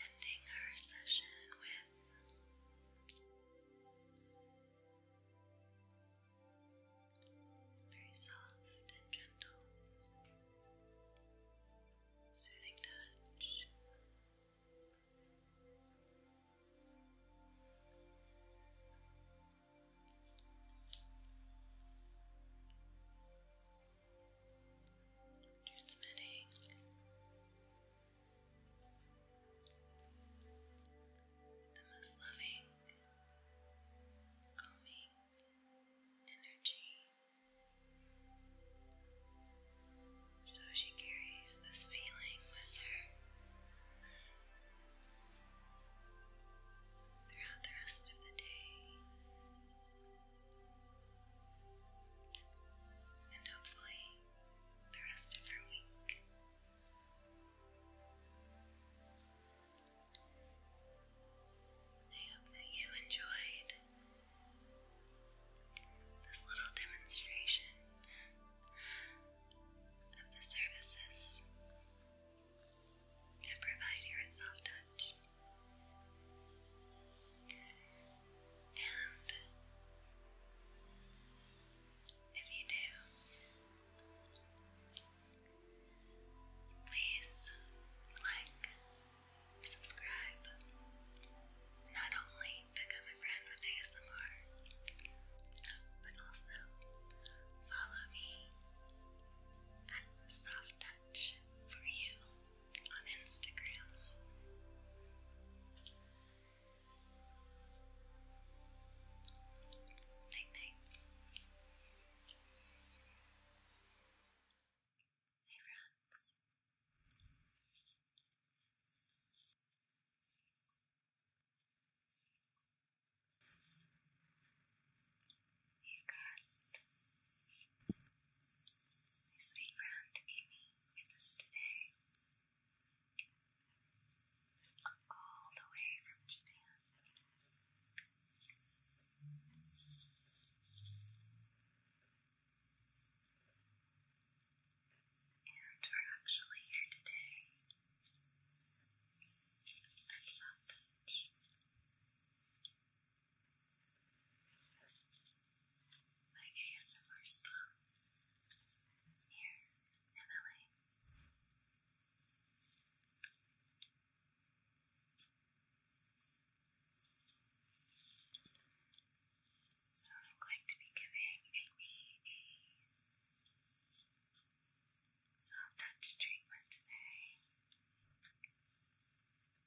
Speaker 1: Ending our session with very soft and gentle, soothing touch. Transmitting the most loving, calming energy. So she carries this feeling with her throughout the rest of the day. And hopefully, the rest of your week. I hope that you enjoyed this little demonstration of the services and provide your soft touch. And if you do, please like, subscribe, not only become a friend with ASMR, but also follow me at Soft Touch for You on Instagram. Night night. Hey friends. You got my sweet friend Amy with today, all the way from Japan. And we're actually here today at South Beach. My ASMR spa here in So I'm going to be giving Amy a so touch treatment today,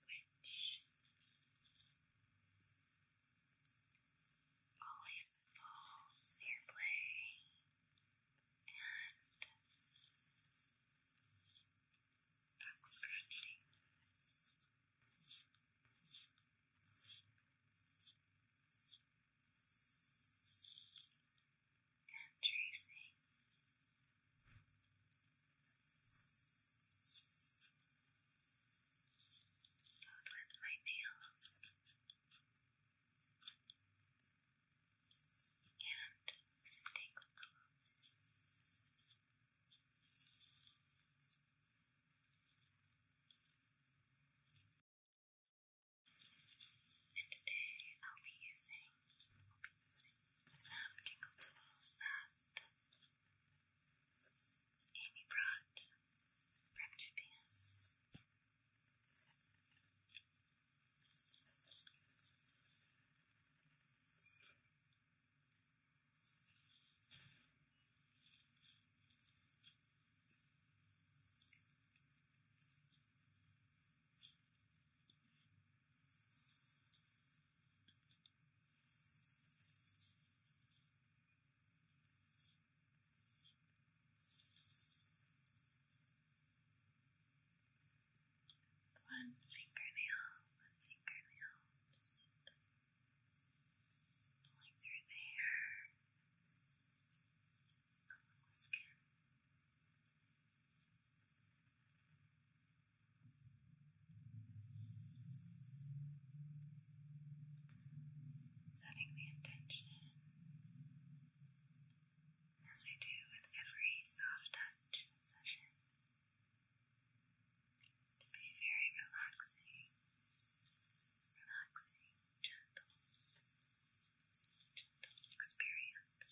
Speaker 1: which always involves earplay and back scratching and tracing. Both with my nails and some tingle And today I'll be using Sam tingled to that Amy brought from Japan. One fingernail, one fingernail, pulling through the hair, along the skin. Setting the intention as I do with every soft touch session to be very relaxing, relaxing, gentle, gentle experience.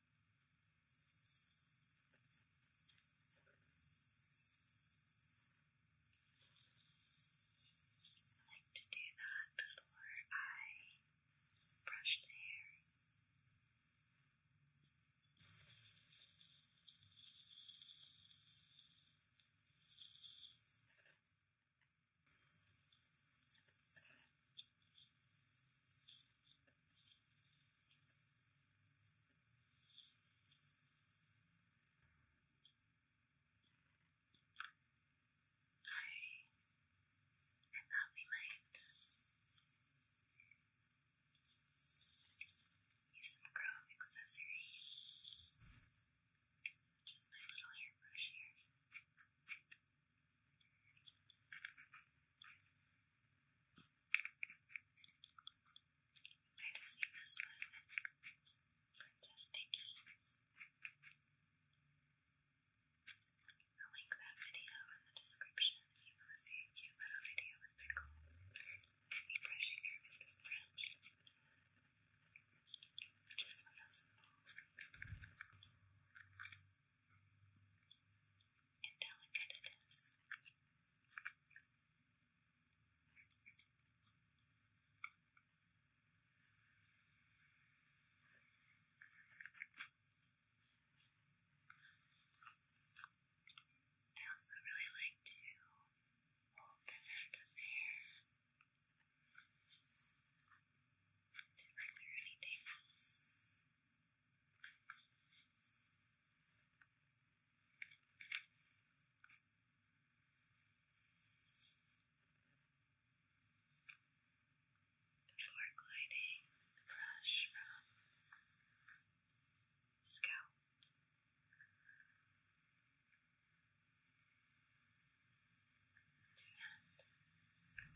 Speaker 1: I like to do that before I brush the hair. I thought we might use some chrome accessories, which my little hairbrush here. Might have seen this one Princess Piggy. I'll link that video in the description you want see a cute little video with Pickle. I'll be brushing her with this brush. Just a little and delicate it is. I also really like to hold the ends to break through any tangles. Before gliding the brush from scalp. To end.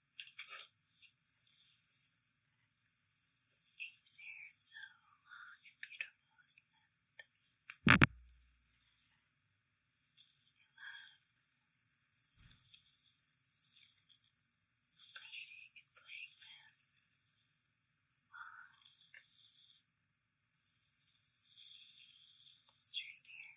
Speaker 1: His hair is so long and beautiful, isn't it? I love brushing and playing them long straight hair.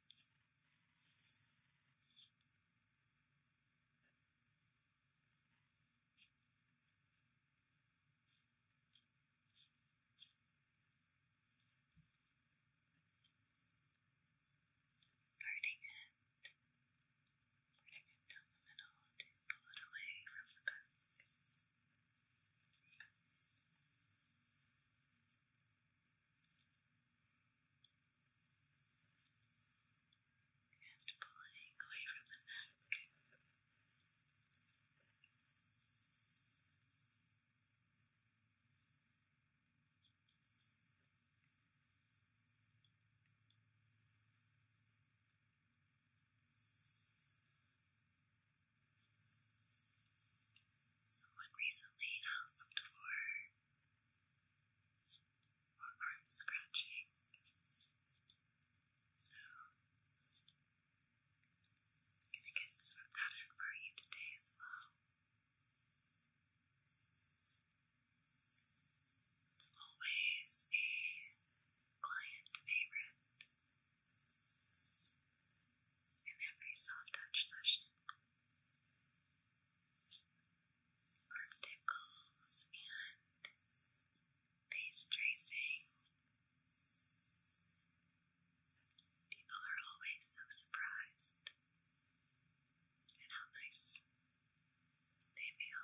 Speaker 1: Parting it, parting down the middle to pull it away from the back. And pulling away from the neck. Someone recently asked for arm scratching so I'm gonna get some pattern for you today as well it's always a client favorite in every soft touch session. Articles and face tracing. People are always so surprised at how nice they feel.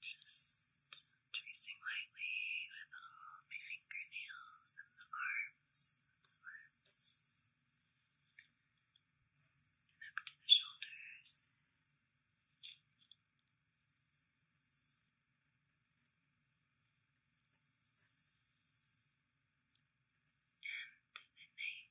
Speaker 1: Just tracing lightly with all my fingernails and the arms, the arms, and up to the shoulders. And the nape.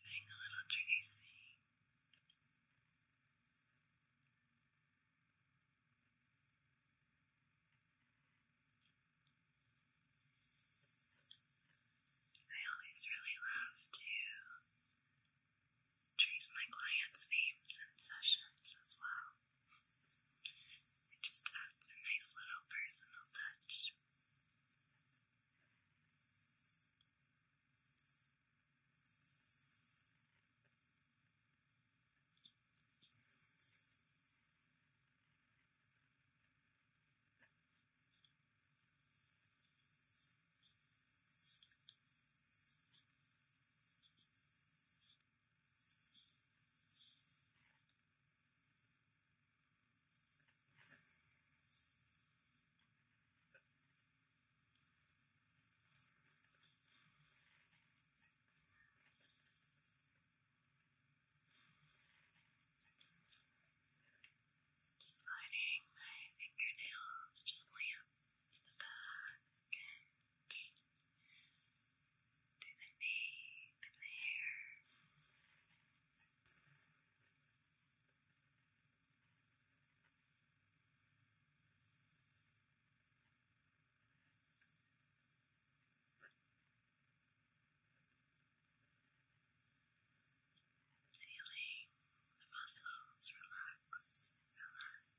Speaker 1: Hang on, on I always really love to trace my clients' names and sessions as well. It just adds a nice little personal touch. Just sliding my fingernails gently up the back and to the hair. Feeling the muscles relax.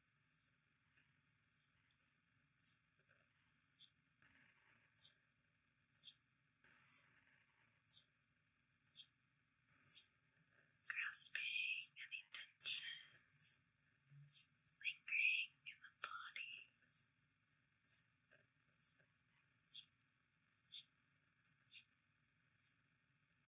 Speaker 1: Grasping an intention, lingering in the body.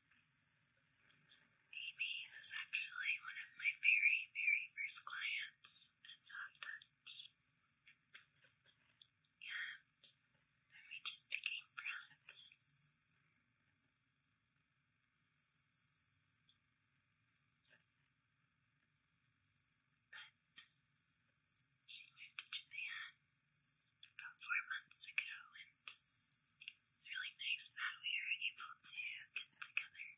Speaker 1: Amy is actually one of my very, very first clients at Soft Touch. And then we just became friends. But she moved to Japan about four months ago and it's really nice that we are able to get together.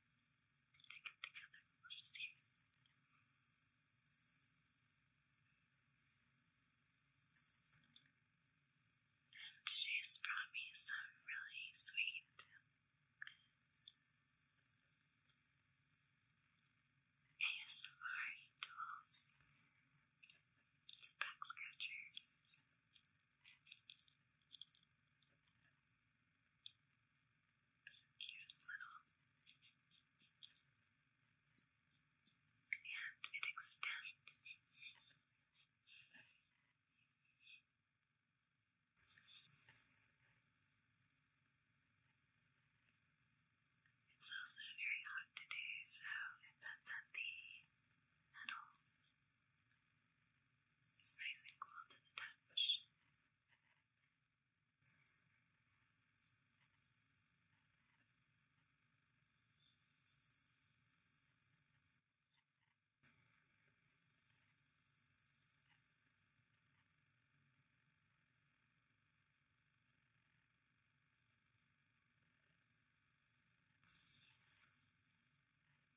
Speaker 1: To get together, we'll just see. And she's brought me some really sweet. ASMR tools. It's a back scratcher. It's cute little and it extends. It's also very hot today, so I bet the metal it's nice and cold to the touch.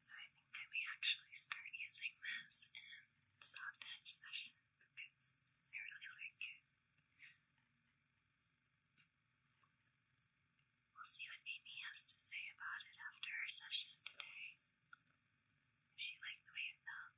Speaker 1: So I think I may actually start using this in soft edge session because I really like it. We'll see what Amy has to say about it after her session today. If she liked the way it felt.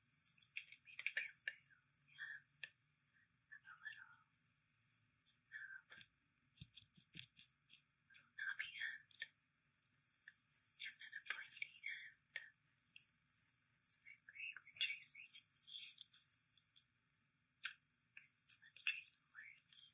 Speaker 1: made of bamboo and a little knob, little knobby end, and then a pointy end. It's great for tracing. Let's trace some words.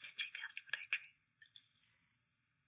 Speaker 1: Did you guess what I traced?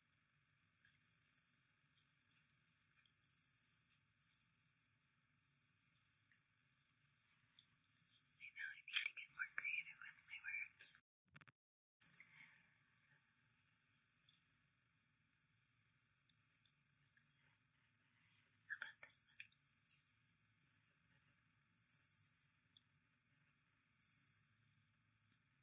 Speaker 1: I know I need to get more creative with my words. about this one?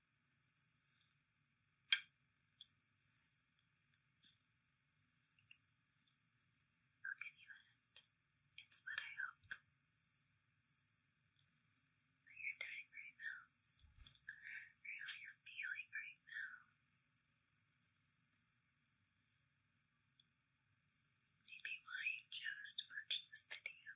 Speaker 1: Look at you at It's what I hope that you're doing right now, or how you're feeling right now. Maybe why you chose to watch this video.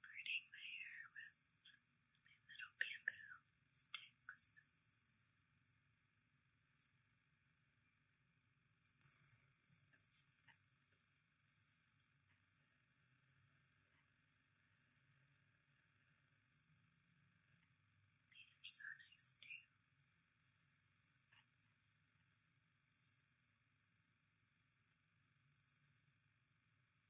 Speaker 1: Braiding my hair with little bamboo sticks. These are so nice too.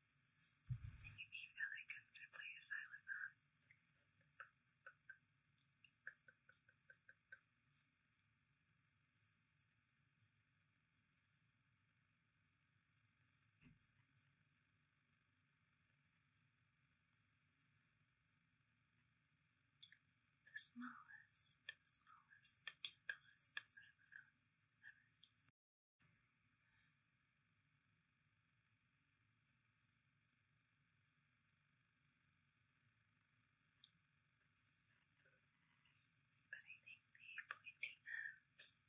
Speaker 1: And you need really good to play a silent on. The smallest, the smallest, gentlest xylophone ever. But I think the pointy ends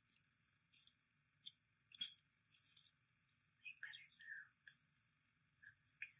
Speaker 1: make better sounds on the skin.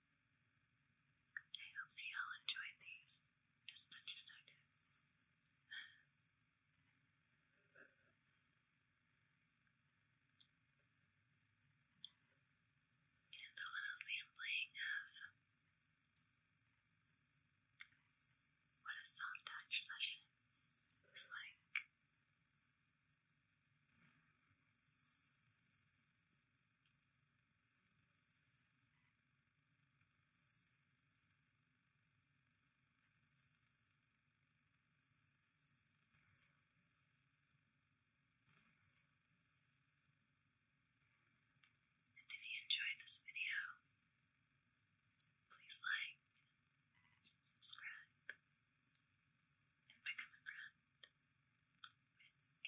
Speaker 1: I hope you all enjoyed these as much as I did. and the little sampling of what a soft touch session is like. And if you enjoyed this video, please like, subscribe, and become a friend. S M I